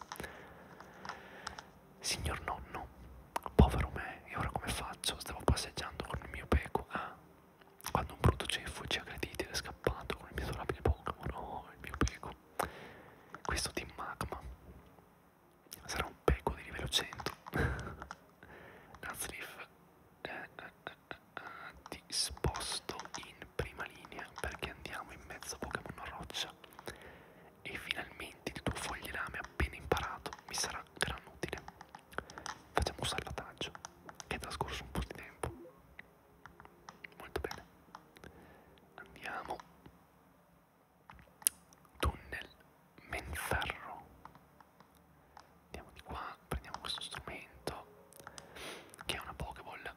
Signor nonno, povero me, e ora come faccio? Stavo passeggiando con il mio peco, ah, quando un brutto ceffo ci aggredì ed è scappato con il miserabile Pokémon, oh, il mio peco. Questo team magma sarà un peco di livello 100. Nazleaf *laughs* eh, eh, eh, eh, ti sposto in prima linea perché andiamo in mezzo a Pokémon Roccia e finalmente frammenti di tuo foglilame appena imparato mi sarà gran utile. Facciamo un salvataggio, che è trascorso un po' di tempo. Molto bene. Andiamo. Tunnel Menferro. Andiamo di qua, prendiamo questo strumento, che è una Pokéball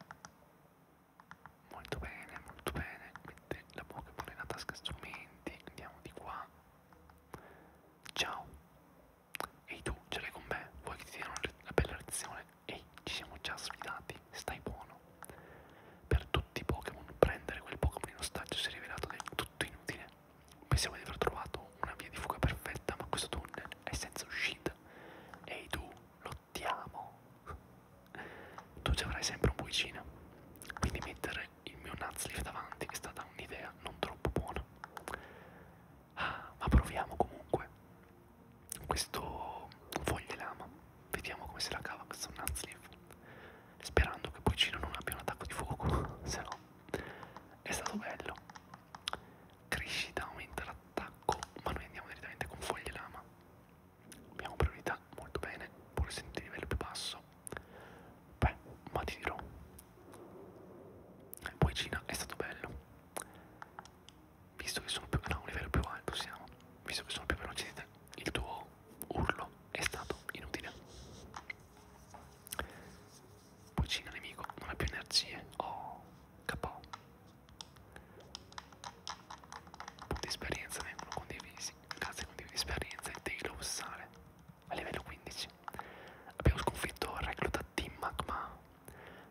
molto bene molto bene mette la pokeball nella tasca strumenti andiamo di qua ciao ehi tu ce l'hai con me vuoi che ti diano la bella lezione ehi ci siamo già sfidati stai buono per tutti i Pokémon prendere quel Pokémon in ostaggio si è rivelato del tutto inutile. Pensiamo di aver trovato una via di fuga perfetta, ma questo tunnel è senza uscita. Ehi tu, lottiamo! tu ci avrai sempre un buicino quindi mettere il mio Nutsleaf davanti è stata un'idea non troppo buona ah, ma proviamo comunque questo foglie lama vediamo come se la cava questo Nutsleaf sperando che Buicino non abbia un attacco di fuoco *laughs* se no è stato bello crescita aumenta l'attacco ma noi andiamo direttamente con foglie lama abbiamo priorità molto bene pur essendo di livello più basso beh ma ti dirò e poi Cina è stato bello visto che sono più a no, un livello più alto siamo visto che sono più veloce di te il tuo urlo è stato inutile poi Cina nemico non ha più energie oh capo punti esperienza vengono condivisi grazie a un tipo di esperienza e Taylor Sale a livello 15. Abbiamo sconfitto il recluta Tim Magma.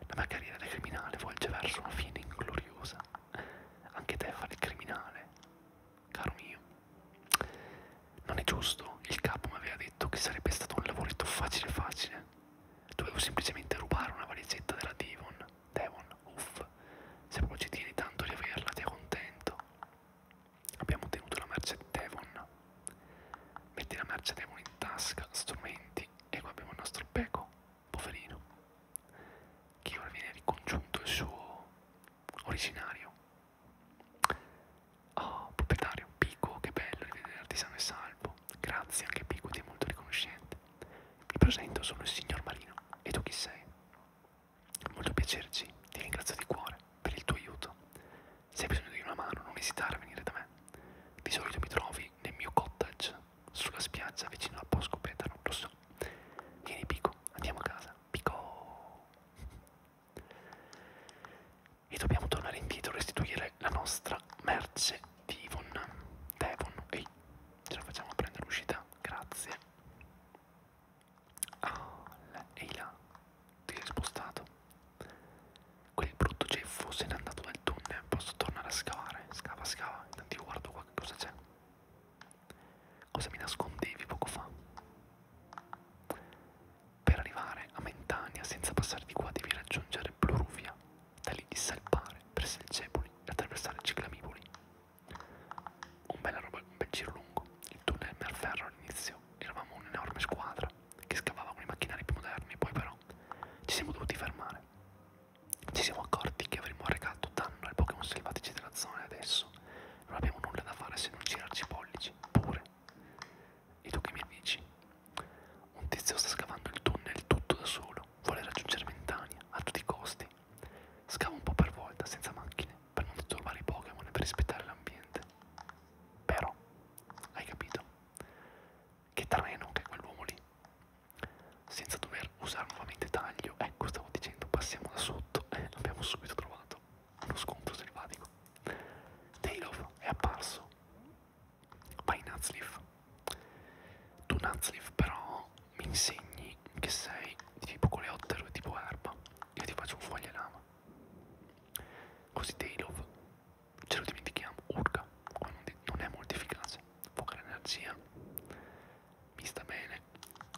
La mia carriera da criminale volge verso una fine ingloriosa. Anche te fare il criminale, caro mio. Non è giusto, il capo mi aveva detto che sarebbe stato un lavoretto facile facile. Dovevo semplicemente rubare una valigetta della Devon, Devon uff, se proprio ci tieni tanto di averla ti contento. Abbiamo ottenuto la merce Devon. Metti la merce Devon in tasca, strumenti, e qua abbiamo il nostro Peco, poverino, che ora viene ricongiunto il suo originario. Oh, proprietario, Pico, che bello rivederti sano e salvo. Grazie, anche Pico, ti è molto riconoscente. Mi presento, sono il signor Marino. E tu chi sei? Molto piacerci, ti ringrazio di cuore per il tuo aiuto. Se hai bisogno di una mano non esitare a venire da me. Di solito mi trovi nel mio cottage sulla spiaggia vicino a Bosco Petano, lo so. Vieni Pico, andiamo a casa. Pico! E dobbiamo tornare indietro e restituire la nostra merce di Ivon. Devon. Ehi, ce la facciamo a prendere l'uscita? Grazie. Ah, ehi là, ti sei spostato. Quel brutto ceffo se n'è andato nel tunnel, posso tornare a scavare. Scava, scava, intanto io guardo qua che cosa c'è. Cosa mi nascondevi poco fa? Per arrivare a Mentania senza passare di qua devi raggiungere Bloruvia, da lì dissalpare, prese il Cepoli e attraversare Ciclamiboli. Un, bella roba, un bel giro lungo, il tunnel Merferro all'inizio, eravamo un'enorme squadra che scavava con i macchinari più moderni, poi però ci siamo dovuti fermare. Ci siamo accorti che avremmo recato danno ai Pokémon selvatici della zona e adesso non abbiamo nulla da fare se non girarci i pollici, pure. E tu che mi dici? Un tizio sta scavando il tunnel tutto da solo, vuole raggiungere Ventania a tutti i costi. Scava un po' per volta, senza macchine, per non disturbare i Pokémon e per rispettare l'ambiente. Però, hai capito? Che treno che è quell'uomo lì. Senza dover usare nuovamente taglio, ecco stavo dicendo, passiamo da sotto *laughs* e eh, abbiamo subito trovato uno scontro selvatico. Tailov è apparso. Vai Nutsleaf. Tu Nutsleaf però mi insegni che sei di tipo coleottero e tipo erba, io ti faccio un foglia lama. Così Tailov, ce lo dimentichiamo, urca, quando non è molto efficace, poca energia, mi sta bene,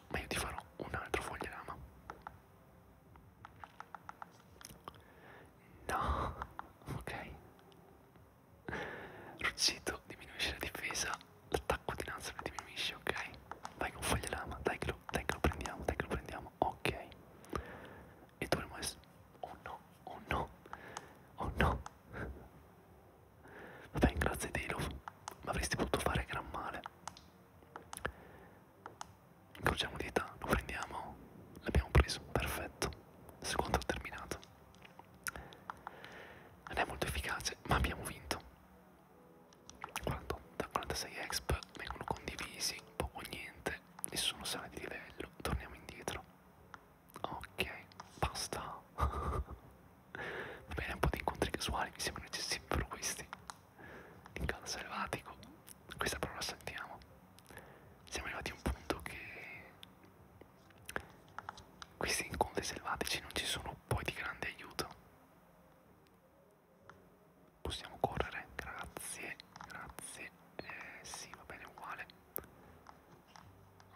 ma io ti farò un altro foglia lama. No, *laughs* ok. Ruzzito diminuisce la difesa l'attacco dinanzi ai miei nemici, ok? Vai con foglia lama, dai che, lo, dai che lo prendiamo, dai che lo prendiamo, ok. E dovremmo essere... Oh no, oh no, oh no. Vabbè, grazie Delov, ma avresti potuto fare gran male. Incrociamo dita, lo prendiamo, l'abbiamo preso, perfetto. Secondo terminato. Non è molto efficace, ma abbiamo vinto da 46 exp vengono condivisi poco o niente nessuno sale di livello torniamo indietro ok basta *laughs* va bene un po' di incontri casuali mi sembrano eccessivano questi in casa selvatico questa parola sentiamo siamo arrivati a un punto che questi incontri selvatici non ci sono poi di grande aiuto Possiamo correre, grazie, grazie, eh, sì va bene uguale.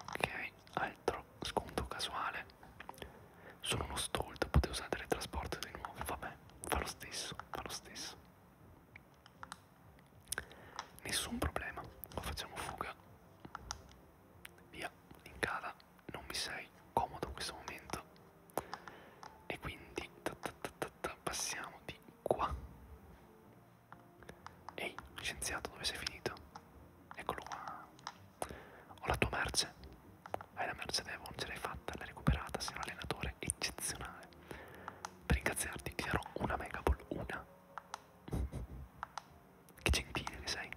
Ok, altro sconto casuale. Sono uno stolto, potevo usare il trasporto di nuovo, vabbè, fa lo stesso, fa lo stesso. Nessun problema, lo facciamo fuga. Via, in casa non mi sei comodo in questo momento e quindi ta ta ta ta ta, passiamo di qua ehi scienziato dove sei finito? eccolo qua ho la tua merce hai la merce Devon ce l'hai fatta l'hai recuperata sei un allenatore eccezionale per ringraziarti ti darò una mega ball una *laughs* che gentile che sei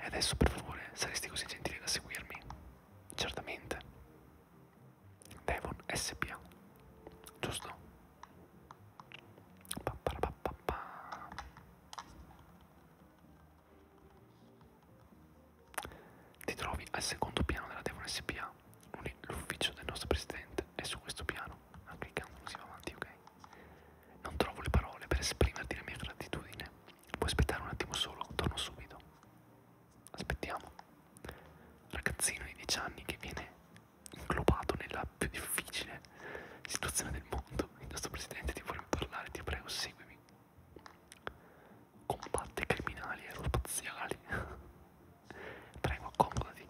e adesso per favore saresti così gentile da seguirmi? Certamente. Devon SPA. Giusto? Pa pa pa pa pa. Ti trovi al secondo piano della Devon SPA. L'ufficio del nostro presidente è su questo piano. Ah, cliccando così va avanti, ok? Non trovo le parole per esprimerti la mia gratitudine. Puoi aspettare un attimo solo, torno subito. Aspettiamo. Ragazzino di 10 anni che viene inglobato nella più difficile situazione del mondo. Il nostro presidente ti vuole parlare, ti prego, seguimi. Combatte criminali aerospaziali. *laughs* prego, accomodati.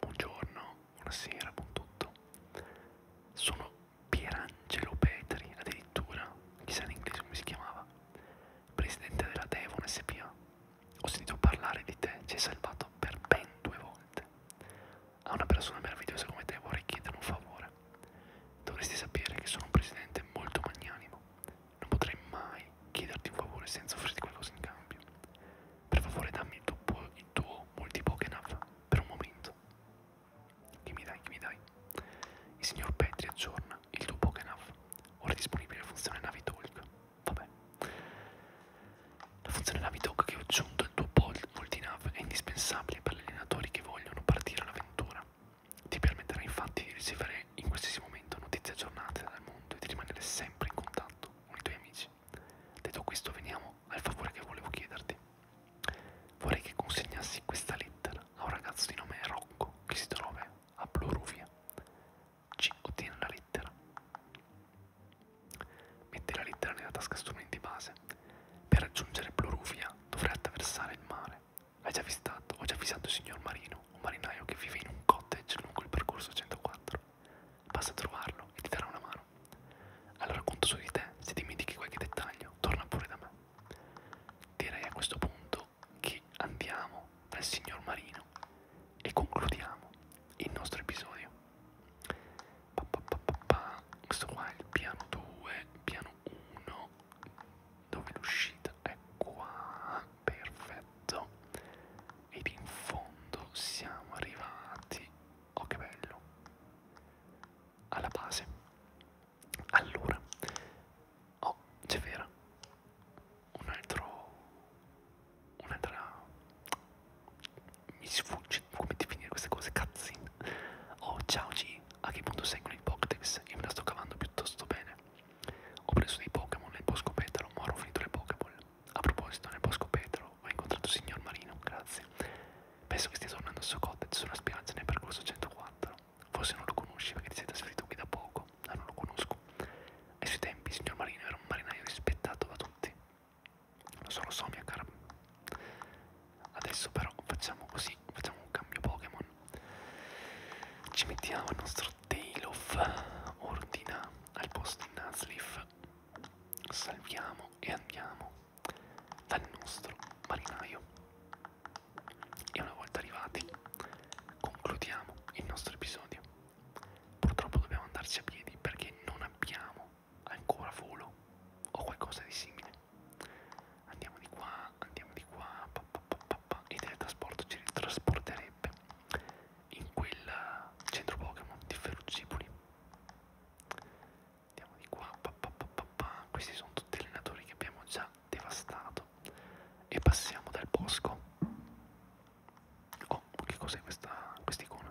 Buongiorno, buonasera, buon tutto. Sono Pierangelo Petri, addirittura, chissà in inglese come si chiamava, presidente della Devon SPA. Ho sentito parlare di te, ci hai salvato per ben due volte. A una persona meravigliosa come te vorrei chiedere un favore. Dovresti sapere che sono un presidente molto magnanimo. Non potrei mai chiederti un favore senza offrirti qualcosa in cambio. Per favore dammi il tuo, il tuo multipoken per un momento fatto. Che mi dai, che mi dai? Il signor Petri aggiorna il tuo Pokénav. Ora è disponibile la funzione Navitalk. Vabbè. La funzione Navitalk che ho aggiunto al tuo Voltinav è indispensabile per gli allenatori che vogliono partire all'avventura. Ti permetterà infatti di ricevere in qualsiasi momento notizie aggiornate dal mondo e di rimanere sempre in contatto con i tuoi amici. Detto questo veniamo al favore che volevo chiederti. Vorrei che consegnassi questa lettera a un ragazzo di nome Rocco che si trova a Bloruvia. Ci ottiene la lettera. Mette la lettera nella tasca strumenti base. Per raggiungere Bloruvia dovrai attraversare il mare. Hai già vistato, ho già avvisato il signor Marino, un marinaio che vive in un cottage lungo il percorso 104. Basta trovarlo e ti darà una mano. Allora conto su di te, se dimentichi qualche dettaglio, torna pure da me. Direi a questo punto che andiamo dal signor Marino e concludiamo il nostro episodio. Pa, pa, pa, pa, pa. Questo qua è il piano 2, piano 1, dove l'uscita è qua, perfetto. Ed in fondo siamo arrivati. Oh che bello! alla base allora oh c'è vera un altro un'altra mi sfugge come definire queste cose cazzin oh ciao G a che punto sei con i Pokédex io me la sto cavando piuttosto bene ho preso dei Pokémon nel bosco petalo ma ho finito le Pokéball a proposito nel bosco petalo ho mai incontrato il signor Marino, grazie. Penso che stia tornando al suo cottage sulla spiaggia nel percorso 104. Forse non lo conosci perché ti sei trasferito qui da poco, ma ah, non lo conosco. Ai suoi tempi il signor Marino era un marinaio rispettato da tutti. Lo so, lo so, mia cara. Adesso però facciamo così, facciamo un cambio Pokémon. Ci mettiamo il nostro Tail of Ordina al posto di Nuzleaf. Salviamo e andiamo dal nostro marinaio. E una volta arrivati concludiamo il nostro episodio. Purtroppo dobbiamo andarci a piedi perché non abbiamo ancora volo o qualcosa di simile. Andiamo di qua, andiamo di qua, pa, pa, pa, pa, pa, e teletrasporto ci ritrasporterebbe in quel centro Pokémon di Ferrucipoli andiamo di qua pa, pa, pa, pa, pa. questi sono tutti allenatori che abbiamo già devastato e passiamo dal bosco oh che cos'è questa quest'icona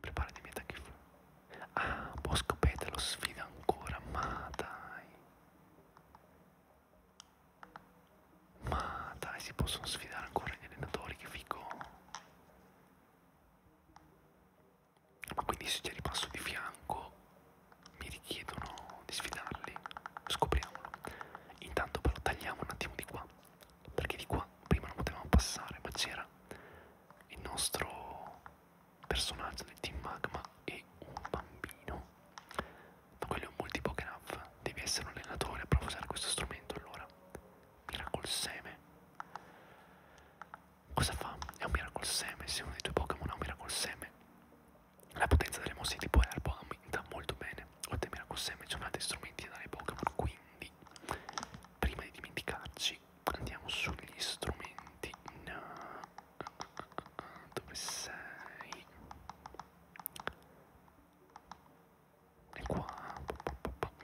prepara di meta che fu ah bosco petalo sfida ancora ma dai ma dai si possono sfidare ancora gli allenatori che figo ma quindi se ci ripasso di fianco mi richiedono di sfidarli. Scopriamolo. Intanto però tagliamo un attimo di qua. Perché di qua prima non potevamo passare, ma c'era il nostro personaggio del team magma e un bambino. Ma quello è un multipograph. Devi essere un allenatore per usare questo strumento allora. Miracol seme. Cosa fa? È un Miracle Seme, se uno dei tuoi Pokémon ha un Miracle Seme. La potenza delle mosse di tipo Herbo aumenta molto bene. Oltre a Miracle Seme c'è un altro strumento da dare ai Pokémon, quindi prima di dimenticarci andiamo sugli strumenti. No. Ah, ah, ah, dove sei? E qua,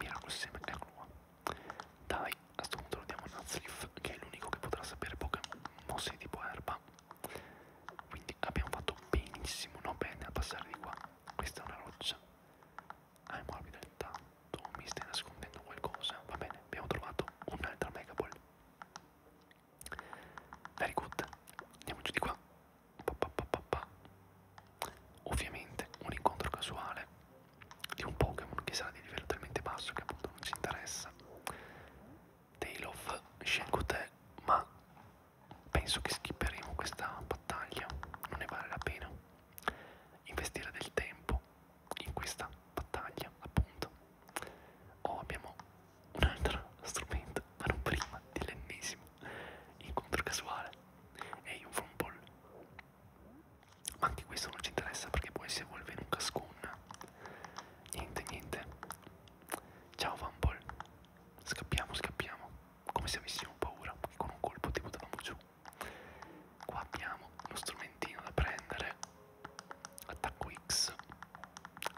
Miracol Seme, eccolo qua. Dai, a sto punto lo diamo a Nazlif, che è l'unico che potrà sapere Pokémon mosse tipo erba. Quindi abbiamo fatto benissimo, no bene, a passare di qua. Questa è una roccia. Ah, è morbida intanto, mi stai nascondendo qualcosa. Va bene, abbiamo trovato un'altra Mega Ball. Very good, andiamo giù di qua. Pa, pa, pa, pa, pa. Ovviamente un incontro casuale di un Pokémon che sarà di livello talmente basso che appunto non ci interessa. Tale of scelgo te, ma penso che skipperemo questa battaglia, non ne vale la pena investire del tempo in questa battaglia, appunto. O oh, abbiamo un altro strumento, ma non prima dell'ennesimo incontro casuale. E hey, un Ball ma anche questo non ci interessa perché poi si evolve in un cascun niente niente ciao Vampol scappiamo scappiamo come se avessimo paura che con un colpo ti buttavamo giù qua abbiamo uno strumentino da prendere attacco X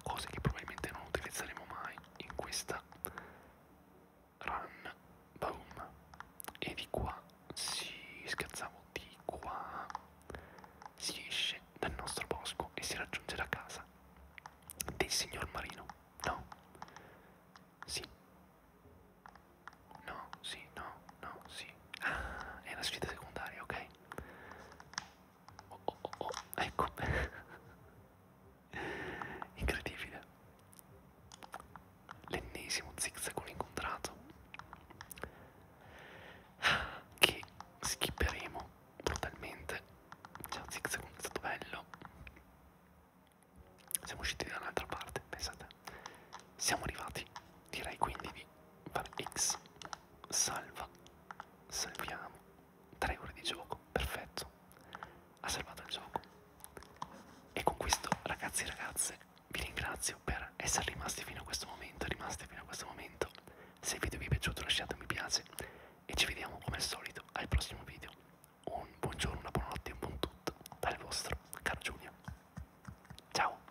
cose che probabilmente non utilizzeremo mai in questa run, boom, e di qua si scherzavo, di qua si esce dal nostro bosco e si raggiunge la casa del signor Marino, no? Sì. No, sì, no, no, sì. Ah, è una sfida secondaria, ok? Oh, oh, oh, oh. ecco. *laughs* Incredibile l'ennesimo zigzag incontrato che schipperemo brutalmente ciao zigzag è stato bello siamo usciti da un'altra parte pensate siamo arrivati direi quindi di fare x salva salviamo 3 ore di gioco perfetto ha salvato il gioco. E con questo, ragazzi e ragazze, vi ringrazio per essere rimasti fino a questo momento, rimasti fino a questo momento. Se il video vi è piaciuto lasciate un mi piace e ci vediamo come al solito al prossimo video. Un buongiorno, una buonanotte, un buon tutto dal vostro caro Giulio. Ciao!